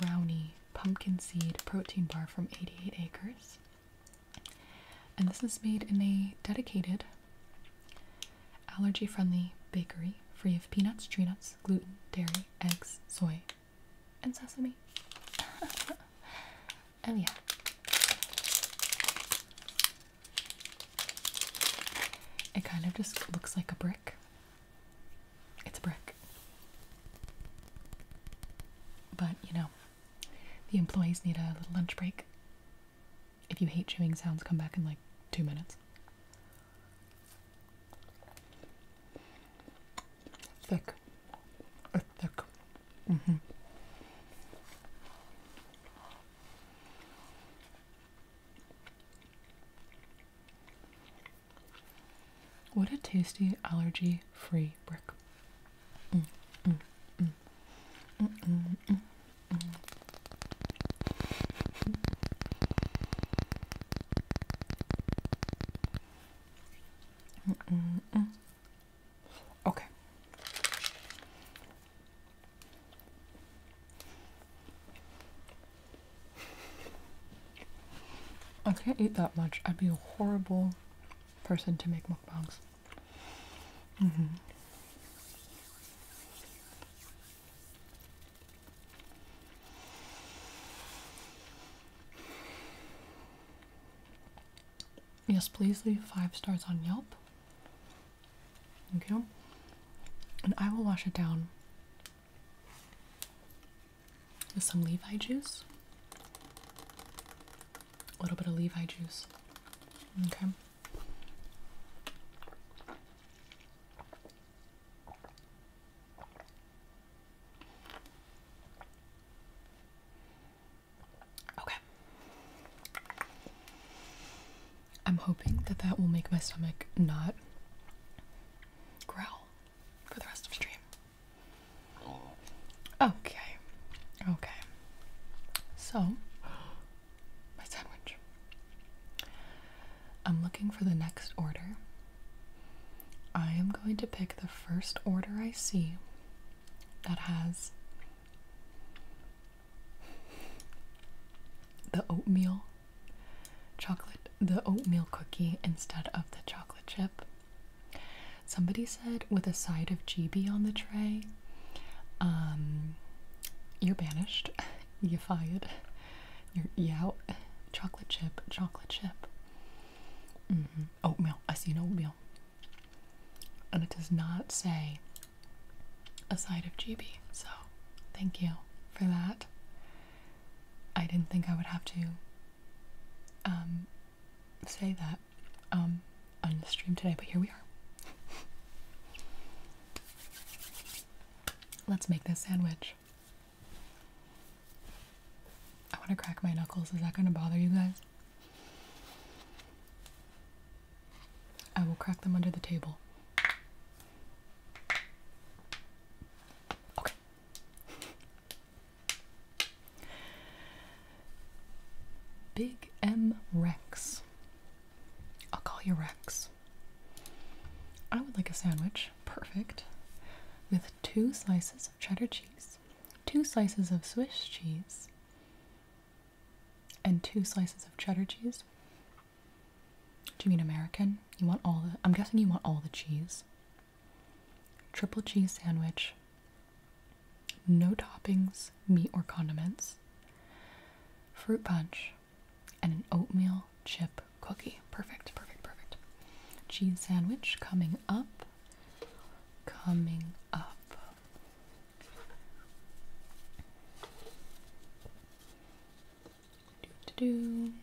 brownie pumpkin seed protein bar from 88 Acres. And this is made in a dedicated Allergy friendly bakery free of peanuts, tree nuts, gluten, dairy, eggs, soy, and sesame. Oh [LAUGHS] yeah. It kind of just looks like a brick. It's a brick. But you know, the employees need a little lunch break. If you hate chewing sounds, come back in like two minutes. Thick. It's uh, thick. Mm hmm. What a tasty allergy free brick. Mm, mm, mm. Mm -mm, mm -mm, mm -mm. Mm -mm -mm. Okay. I can't eat that much. I'd be a horrible person to make mukbangs. Mm -hmm. Yes, please leave five stars on Yelp. Thank And I will wash it down with some Levi juice. A little bit of Levi juice. Okay. Okay. I'm hoping that that will make my stomach not growl for the rest of the stream. Oh. Okay. Okay. So, my sandwich. I'm looking for the next order. I am going to pick the first order I see that has the oatmeal chocolate, the oatmeal cookie instead of the chocolate chip. Somebody said with a side of GB on the tray, um, you're banished. [LAUGHS] You are fired. You're out. Chocolate chip. Chocolate chip. Mm-hmm. Oatmeal. I see an oatmeal. And it does not say a side of GB. So thank you for that. I didn't think I would have to um, say that. Um, on the stream today, but here we are. Let's make this sandwich. I want to crack my knuckles. Is that going to bother you guys? I will crack them under the table. Okay. Big M Rex I'll call you Rex. I would like a sandwich, perfect, with two slices of cheddar cheese, two slices of Swiss cheese, and two slices of cheddar cheese. Do you mean American? You want all the, I'm guessing you want all the cheese. Triple cheese sandwich, no toppings, meat, or condiments, fruit punch, and an oatmeal chip cookie. Perfect, perfect, perfect. Cheese sandwich coming up. Coming up. Okay.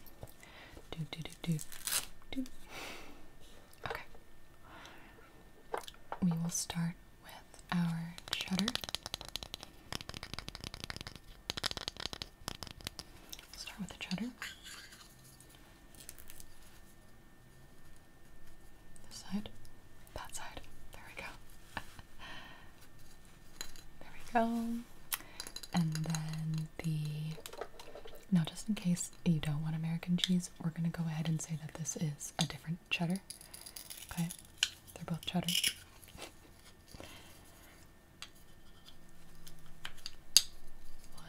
We will start with our cheddar. Start with the cheddar. This side, that side. There we go. [LAUGHS] there we go. And then the. Now, just in case you don't want American cheese, we're going to go ahead and say that this is a different cheddar. Okay, they're both cheddar.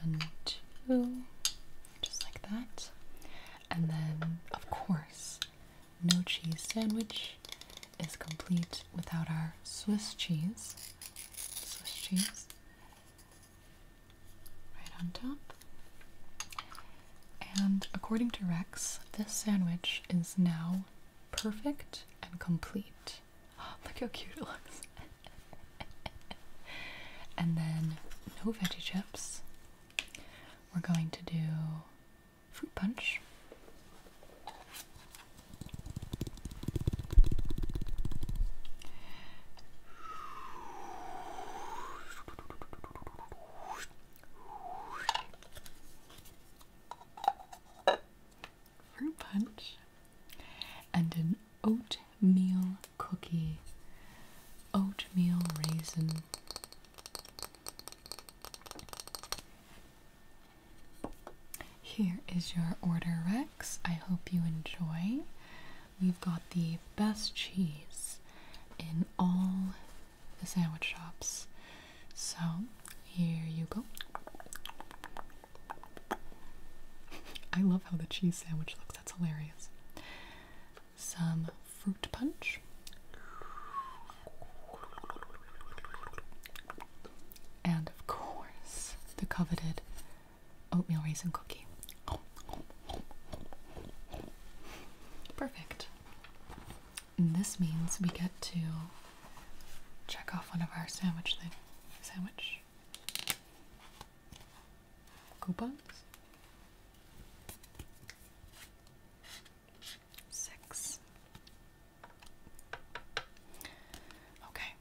One, two, just like that. And then, of course, no cheese sandwich is complete without our Swiss cheese. Swiss cheese right on top. And according to Rex, this sandwich is now perfect and complete. [GASPS] look how cute it looks. [LAUGHS] and then no veggie chips. We're going to do fruit punch fruit punch, and an oatmeal cookie, oatmeal raisin. Here is your order, Rex. I hope you enjoy. We've got the best cheese in all the sandwich shops. So here you go. I love how the cheese sandwich looks, that's hilarious. Some fruit punch. And of course, the coveted oatmeal raisin cookie. Perfect. And this means we get to check off one of our sandwich thing. Sandwich coupons. Six. Okay.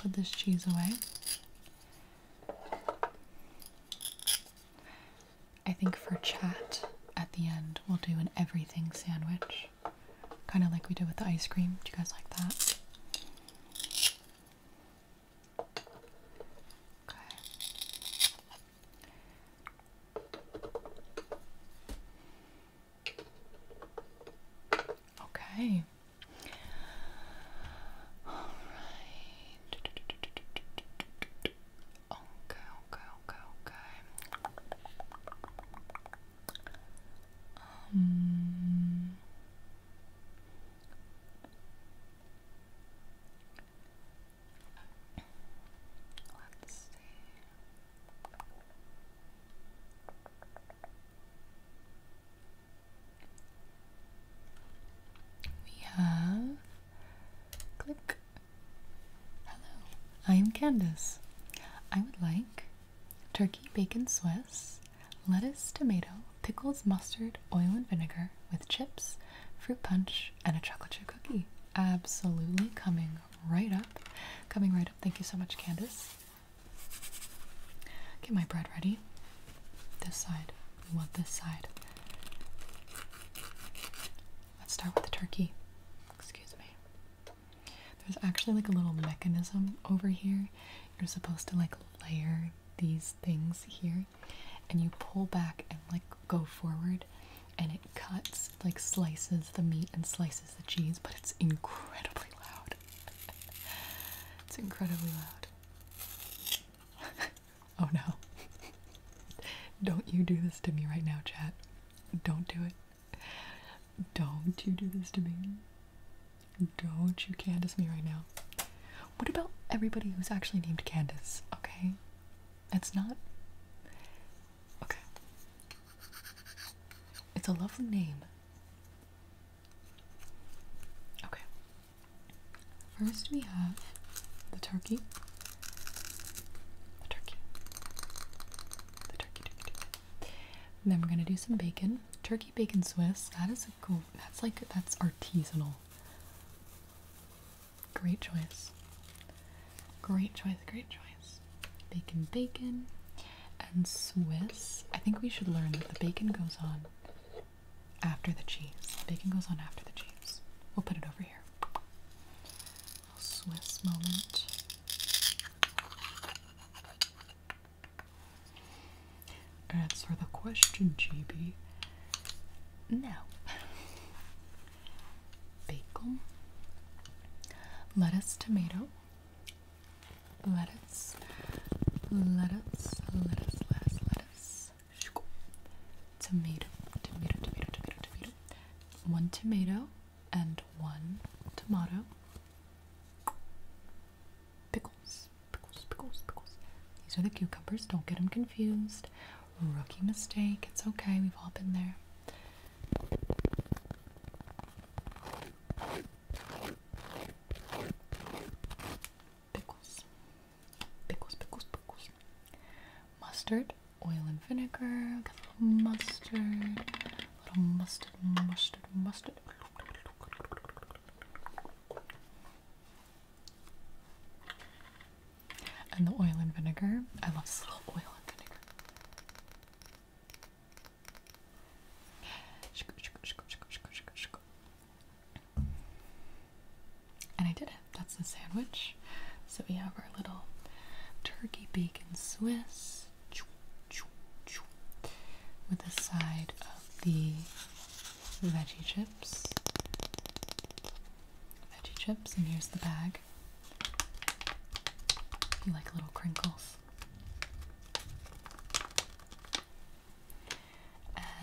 Put this cheese away. I think for chat at the end, we'll do an everything sandwich. Kind of like we did with the ice cream. Do you guys like that? Okay. All right. Okay, okay, okay, okay. Um, let's see. We have click. Hello, I am Candace. I would like turkey, bacon, Swiss, lettuce, tomato, pickles, mustard, oil, and vinegar with chips, fruit punch, and a chocolate chip cookie. Absolutely coming right up. Coming right up. Thank you so much, Candace. Get my bread ready. This side. We want this side. Let's start with the turkey. Excuse me. There's actually like a little mechanism over here. You're supposed to like layer these things here and you pull back and like go forward and it cuts like slices the meat and slices the cheese but it's incredibly loud it's incredibly loud. [LAUGHS] oh no. Don't you do this to me right now, Chad? Don't do it. Don't you do this to me. Don't you Candace me right now. What about everybody who's actually named Candace, okay? It's not. Okay. It's a lovely name. Okay. First, we have the turkey. The turkey. The turkey, turkey, turkey. then we're gonna do some bacon. Turkey bacon Swiss. That is a cool. That's like that's artisanal. Great choice. Great choice. Great choice. Bacon, bacon and Swiss. I think we should learn that the bacon goes on after the cheese. bacon goes on after the cheese. We'll put it over here. Swiss moment. Answer the question, GB. No. [LAUGHS] Bacon, lettuce, tomato, lettuce, lettuce, lettuce, lettuce, lettuce, tomato, tomato, tomato, tomato, tomato, one tomato and one tomato, pickles, pickles, pickles, pickles. These are the cucumbers, don't get them confused. Rookie mistake, it's okay, we've all been there. Pickles. Pickles, pickles, pickles. Mustard, oil and vinegar, mustard, little mustard, mustard, mustard. And the oil and vinegar. I love this little oil and vinegar. And I did it. That's the sandwich. So we have our little turkey bacon Swiss with a side of the veggie chips. Veggie chips, and here's the bag. You like little crinkles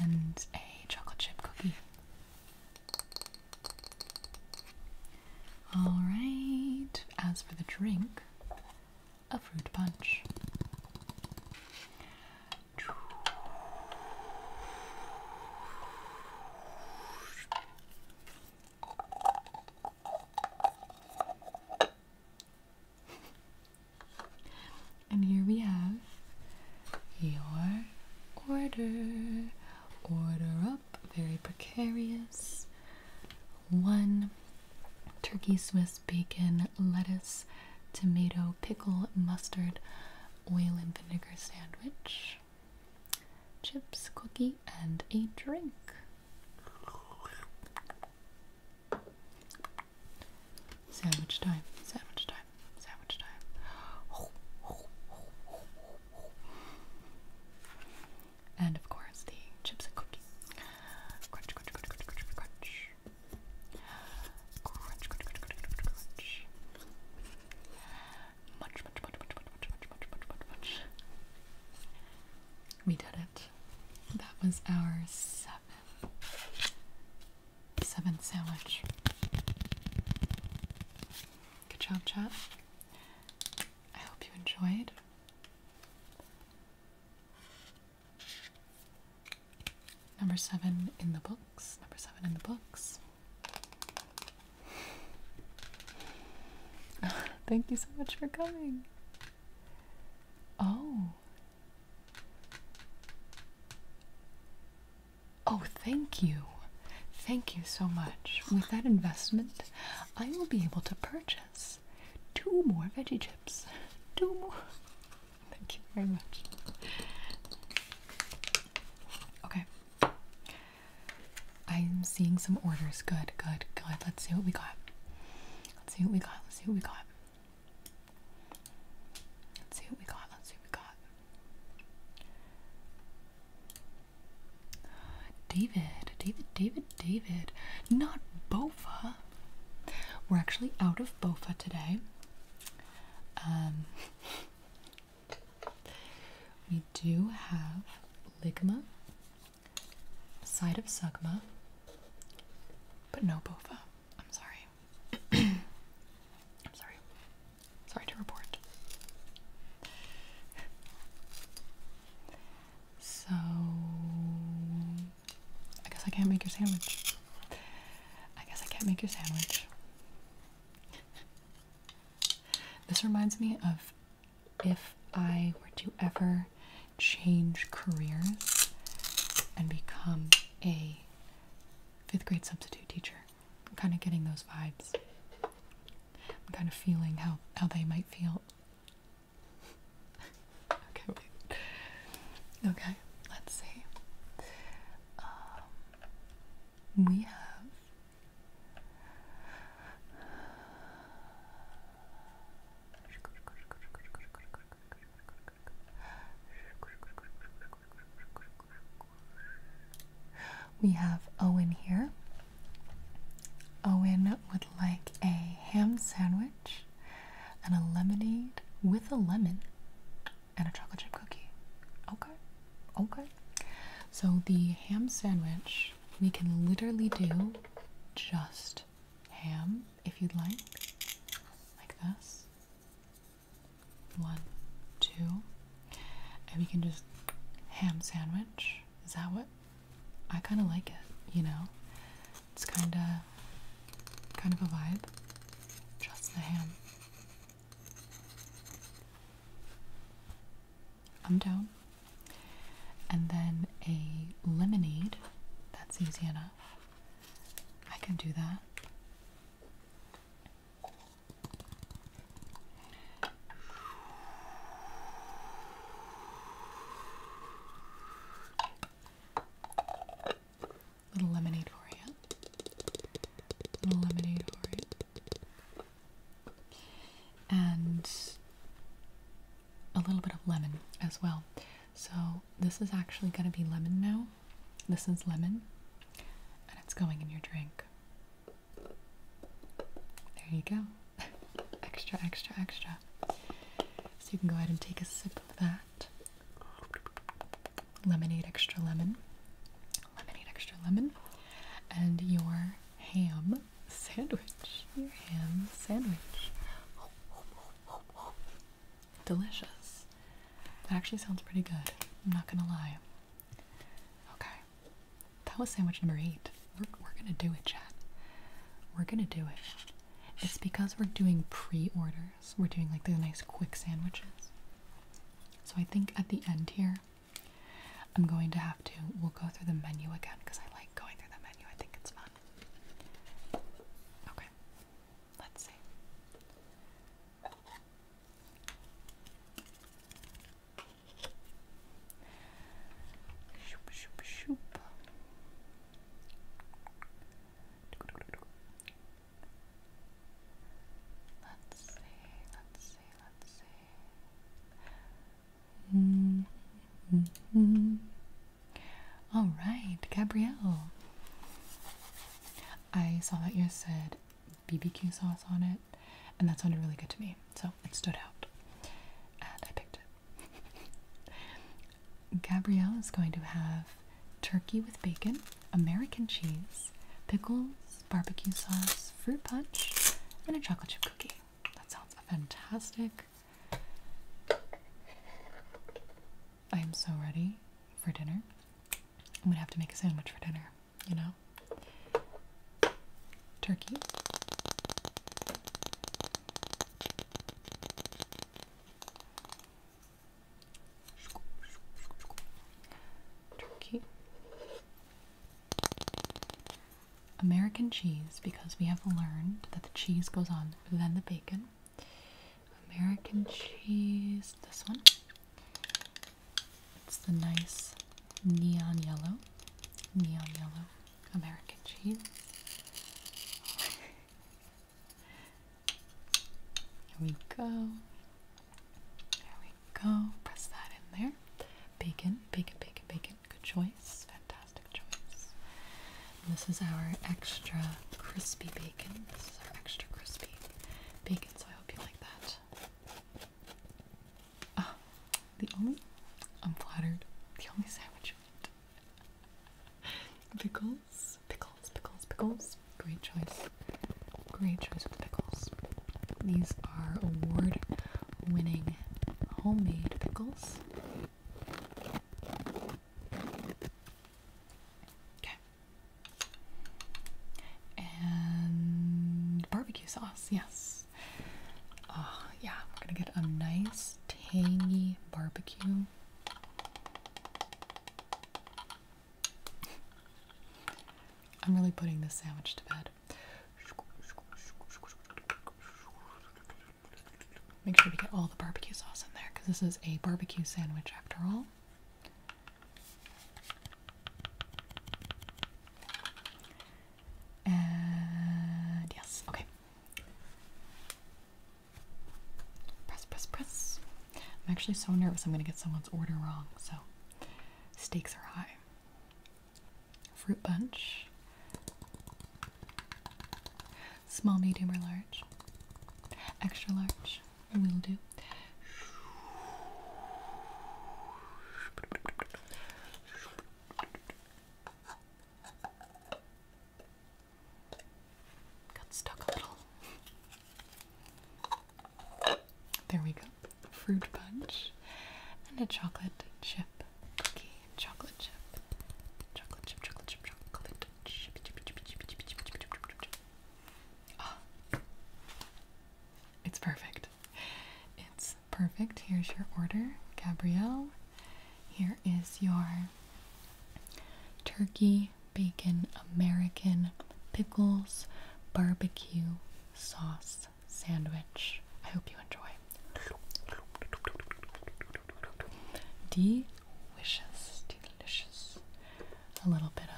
and a chocolate chip cookie. Alright, as for the drink, a fruit punch and here we have your order. Order up, very precarious. One turkey, Swiss bacon, lettuce, tomato, pickle, mustard, oil, and vinegar sandwich. Chips, cookie, and a drink. Sandwich time, sandwich time, sandwich time. And of course, the chips and cookies. Crunch, crunch, crunch, crunch, crunch, crunch. Crunch, crunch, crunch, crunch, crunch, crunch. Munch, munch, munch, munch, munch, munch, munch, munch, munch, munch, munch. We did it. That was our seventh, seventh sandwich. Good job, chat. I hope you enjoyed. Number seven in the books. Number seven in the books. [LAUGHS] Thank you so much for coming. Oh, Oh, thank you. Thank you so much. With that investment, I will be able to purchase two more veggie chips. Two more. Thank you very much. Okay. I'm seeing some orders. Good, good, good. Let's see what we got. Let's see what we got. Let's see what we got. Let's see what we got. Let's see what we got. Uh, David, David, David, David. Not Bofa. We're actually out of Bofa today. Um, [LAUGHS] we do have Ligma side of Sugma, but no Bofa. I'm sorry. [CLEARS THROAT] I'm sorry. Sorry to report. So, I guess I can't make your sandwich. I guess I can't make your sandwich. This reminds me of if I were to ever change careers and become a fifth grade substitute teacher. I'm kind of getting those vibes. I'm kind of feeling how, how they might feel. [LAUGHS] okay, wait. Okay, let's see. Um, we have we have Owen here. Owen would like a ham sandwich and a lemonade with a lemon and a chocolate chip cookie. Okay, okay. So the ham sandwich, we can literally do just ham if you'd like, like this. One, two, and we can just ham sandwich. Is that what? I kind of like it, you know? It's kind of, kind of a vibe. Just the ham. I'm down. And then a lemonade. That's easy enough. I can do that. Little lemonade for you. Little lemonade for you. And a little bit of lemon as well. So this is actually going to be lemon now. This is lemon, and it's going in your drink. There you go. [LAUGHS] extra, extra, extra. So you can go ahead and take a sip of that. Lemonade, extra lemon. Lemonade, extra lemon. And your ham sandwich. Your ham sandwich. Delicious. That actually sounds pretty good. I'm not gonna lie. Okay. That was sandwich number eight. We're, we're gonna do it, chat. We're gonna do it. It's because we're doing pre orders, we're doing like the nice quick sandwiches. So I think at the end here, I'm going to have to, we'll go through the menu again because I like going through the menu. I think it's fun. Okay, Let's see. Shoop, shoop, shoop. Let's see, let's see, let's see. Mm -hmm. All right, Gabrielle. I saw that you said BBQ sauce on it, and that sounded really good to me, so it stood out. And I picked it. [LAUGHS] Gabrielle is going to have turkey with bacon, American cheese, pickles, barbecue sauce, fruit punch, and a chocolate chip cookie. That sounds fantastic. I am so ready for dinner. I'm gonna have to make a sandwich for dinner, you know? Turkey. Turkey. American cheese, because we have learned that the cheese goes on, then the bacon. American cheese, this one. It's the nice neon yellow, neon yellow American cheese. Here we go. There we go. Press that in there. Bacon, bacon, bacon, bacon. Good choice. Fantastic this is our extra crispy bacon. This is our extra crispy bacon, so I hope you like that. Oh, the only I'm flattered. The only sandwich [LAUGHS] Pickles, pickles, pickles, pickles. Great choice. Great choice with pickles. These are award winning homemade pickles. Okay. And barbecue sauce, yes. Oh, yeah, we're gonna get a nice tangy barbecue. I'm really putting this sandwich to bed. Make sure we get all the barbecue sauce in there because this is a barbecue sandwich after all. And yes, okay. Press, press, press. I'm actually so nervous I'm going to get someone's order wrong, so stakes are high. Fruit bunch. Small, medium, or large? Extra large will do. Got stuck a little. There we go. Fruit punch and a chocolate chip cookie. Chocolate chip. Chocolate chip, chocolate chip, chocolate Ah. It's perfect. It's perfect. Here's your order, Gabrielle. Here is your turkey, bacon, American, pickles, barbecue sauce sandwich. I hope you enjoy. Delicious, delicious. A little bit of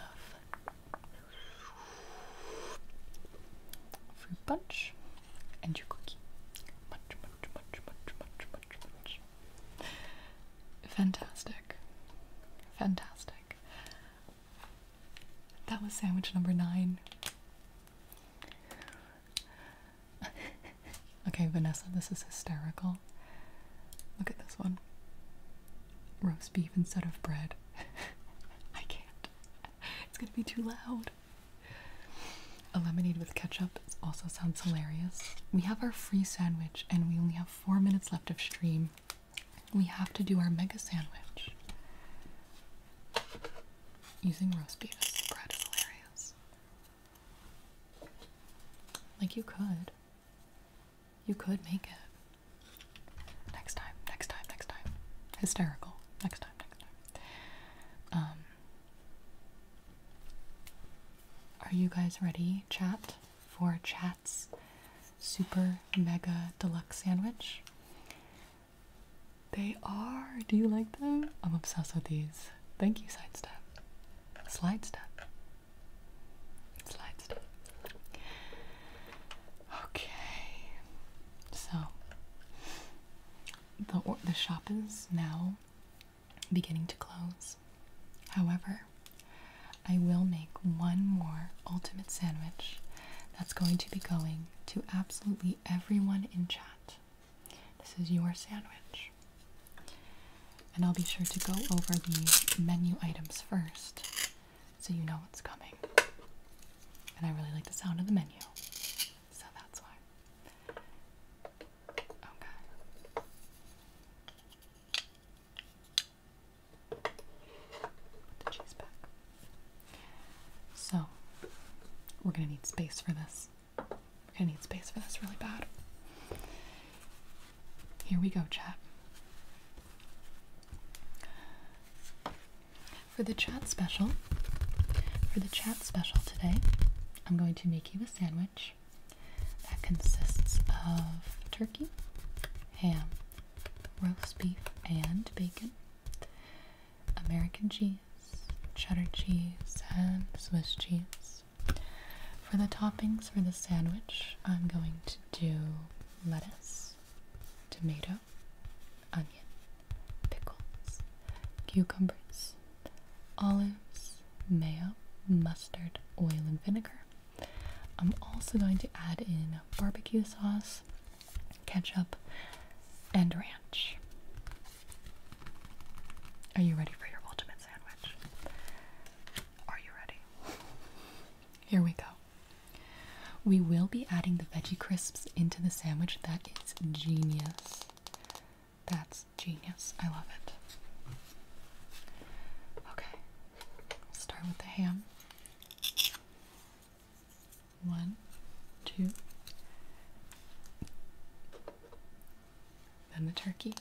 fruit punch and your cookie. Munch, munch, munch, munch, munch, munch, munch. Fantastic. Fantastic. That was sandwich number nine. [LAUGHS] okay, Vanessa, this is hysterical. Look at this one. Roast beef instead of bread. [LAUGHS] I can't. It's gonna be too loud. A lemonade with ketchup also sounds hilarious. We have our free sandwich and we only have four minutes left of stream. We have to do our mega sandwich. Using roast beef as bread hilarious. Like you could. You could make it. Next time, next time, next time. Hysterical. Next time, next time. Um Are you guys ready, chat, for chat's super mega deluxe sandwich? They are. Do you like them? I'm obsessed with these. Thank you, Sidestep. Slide step. Slide step. Okay. So the the shop is now beginning to close. However, I will make one more ultimate sandwich that's going to be going to absolutely everyone in chat. This is your sandwich. And I'll be sure to go over the menu items first so you know what's coming. And I really like the sound of the menu, so that's why. Okay. Put the cheese back. So, we're gonna need space for this. I need space for this really bad. Here we go, chat. For the chat special, for the chat special today, I'm going to make you a sandwich that consists of turkey, ham, roast beef and bacon, American cheese, cheddar cheese, and Swiss cheese, for the toppings for the sandwich, I'm going to do lettuce, tomato, onion, pickles, cucumbers, olives, mayo, mustard, oil, and vinegar. I'm also going to add in barbecue sauce, ketchup, and ranch. Are you ready for your ultimate sandwich? Are you ready? Here we go. We will be adding the veggie crisps into the sandwich. That is genius. That's genius. I love it. Okay, will start with the ham. One, two, then the turkey,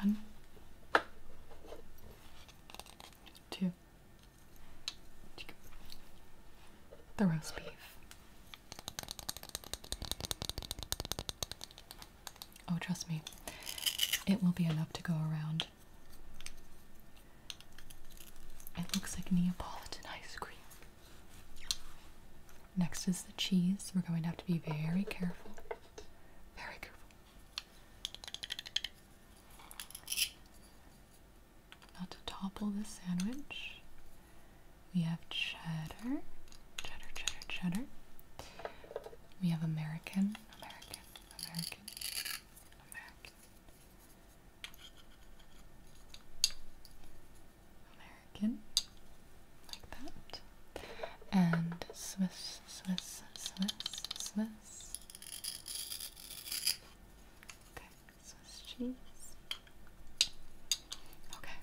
one, two, the roast beef. Oh, trust me, it will be enough to go around. It looks like Neapolitan ice cream. Next is the cheese. We're going to have to be very careful. Very careful. Not to topple this sandwich. We have cheddar, cheddar, cheddar, cheddar. We have American, American, American, American. American, like that. And Swiss, Swiss, Swiss, Swiss. Okay, Swiss cheese. Okay.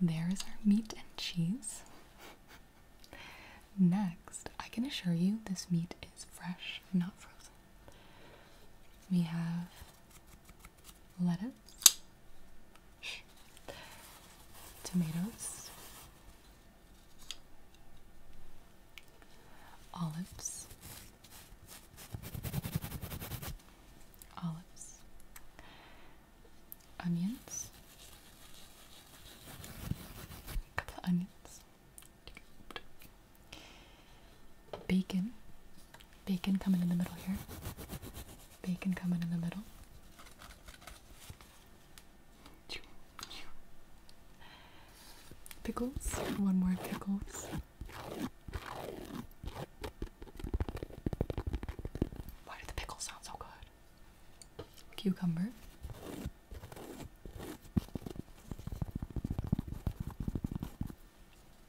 There is our meat and cheese. [LAUGHS] Next, I can assure you this meat is fresh, not frozen. We have lettuce, tomatoes, olives, olives, onions, couple of onions, bacon, Bacon coming in the middle here. Bacon coming in the middle. Pickles. One more pickles. Why do the pickles sound so good? Cucumber.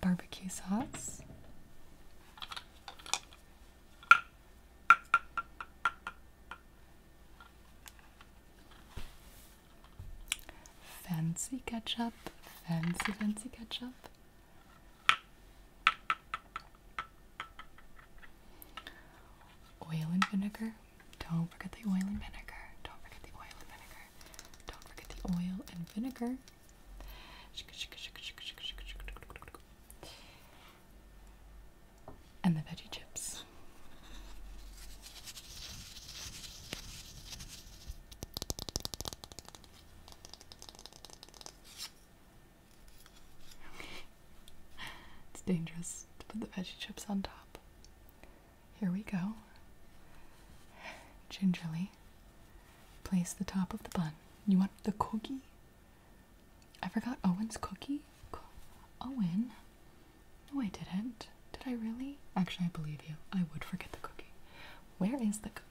Barbecue sauce. Fancy ketchup, fancy, fancy ketchup. Oil and vinegar. Don't forget the oil and vinegar. Don't forget the oil and vinegar. Don't forget the oil and vinegar. And the veggie chips it's dangerous to put the veggie chips on top. Here we go. Gingerly place the top of the bun. You want the cookie? I forgot Owen's cookie. Owen? No, I didn't. Did I really? Actually, I believe you. I would forget the cookie. Where is the cookie?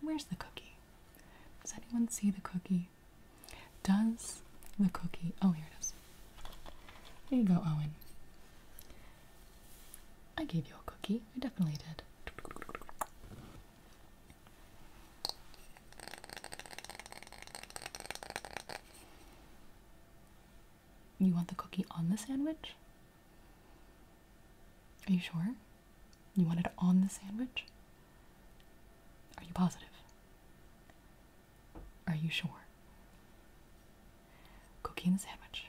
Where's the cookie? Does anyone see the cookie? Does the cookie. Oh, here it is. There you go, Owen. I gave you a cookie. I definitely did. You want the cookie on the sandwich? Are you sure? You want it on the sandwich? Are you positive? Are you sure? Cooking the sandwich.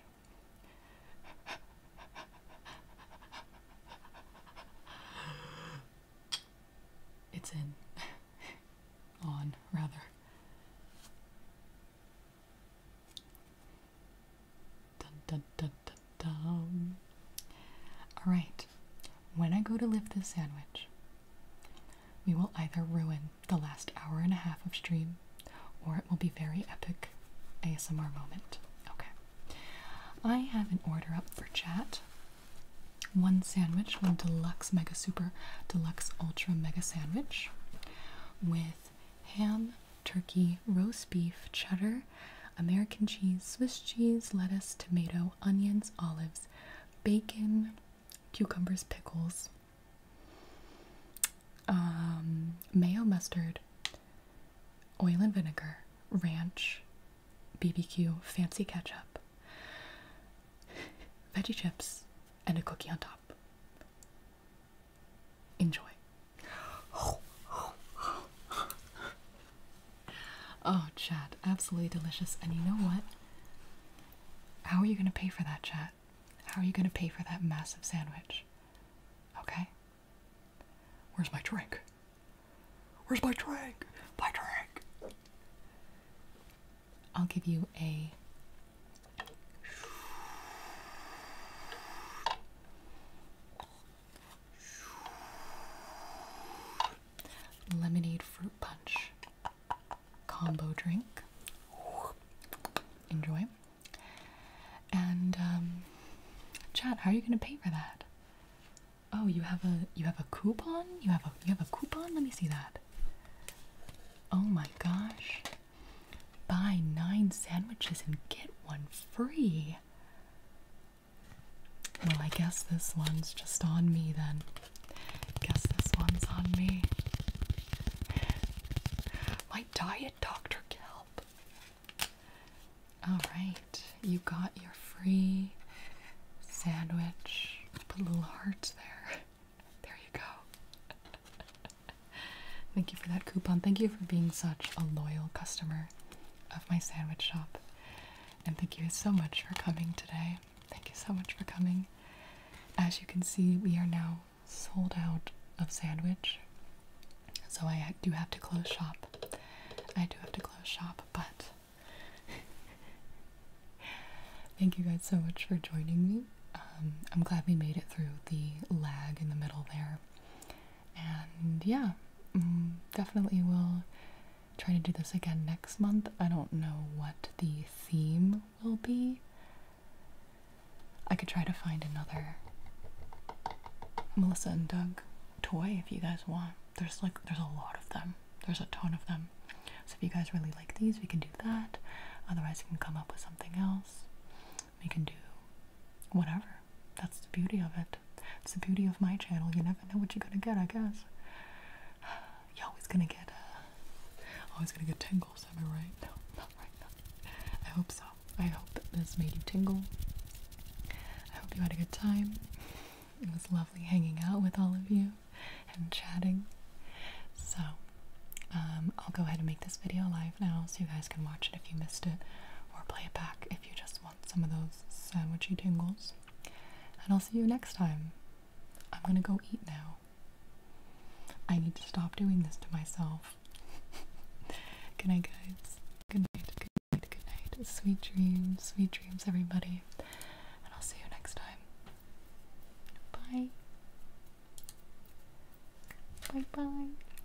It's in. [LAUGHS] on, rather. All right, when I go to lift this sandwich, we will either ruin the last hour and a half of stream or it will be very epic ASMR moment. Okay. I have an order up for chat. One sandwich, one deluxe mega super deluxe ultra mega sandwich with ham, turkey, roast beef, cheddar, American cheese, Swiss cheese, lettuce, tomato, onions, olives, bacon, cucumbers, pickles, um, mayo, mustard, oil and vinegar, ranch, BBQ, fancy ketchup, veggie chips, and a cookie on top. Enjoy. Oh, Chad, absolutely delicious. And you know what? How are you going to pay for that, Chad? How are you going to pay for that massive sandwich? Okay? Where's my drink? Where's my drink? My drink! I'll give you a. Lemonade fruit punch combo drink. Enjoy. And um, Chad, how are you gonna pay for that? Oh, you have a you have a coupon? You have a you have a coupon? Let me see that. Oh my gosh. Buy nine sandwiches and get one free. Well, I guess this one's just on me then. Guess this one's on me. My diet, Dr. Kelp. Alright, you got your free sandwich. Put little hearts there. [LAUGHS] There you go. [LAUGHS] [LAUGHS] Thank you for that coupon. Thank you for being such a loyal customer of my sandwich shop. And thank you so much for coming today. Thank you so much for coming. As you can see, we are now sold out of sandwich. So I do have to close shop. I do have to close shop, but [LAUGHS] thank you guys so much for joining me. Um, I'm glad we made it through the lag in the middle there. And yeah, mm, definitely will try to do this again next month. I don't know what the theme will be. I could try to find another Melissa and Doug toy if you guys want. There's like there's a lot of them. There's a ton of them. So if you guys really like these, we can do that. Otherwise, we can come up with something else. We can do whatever. That's the beauty of it. It's the beauty of my channel. You never know what you're gonna get, I guess. You're always gonna get, uh, always gonna get tingles, am I right? No, not right I hope so. I hope that this made you tingle. I hope you had a good time. It was lovely hanging out with all of you and chatting. So, um, I'll go ahead and make this video live now, so you guys can watch it if you missed it, or play it back if you just want some of those sandwichy tingles. And I'll see you next time. I'm gonna go eat now. I need to stop doing this to myself. [LAUGHS] good night, guys. Good night, good night, good night. Sweet dreams, sweet dreams, everybody. And I'll see you next time. Bye. Bye bye.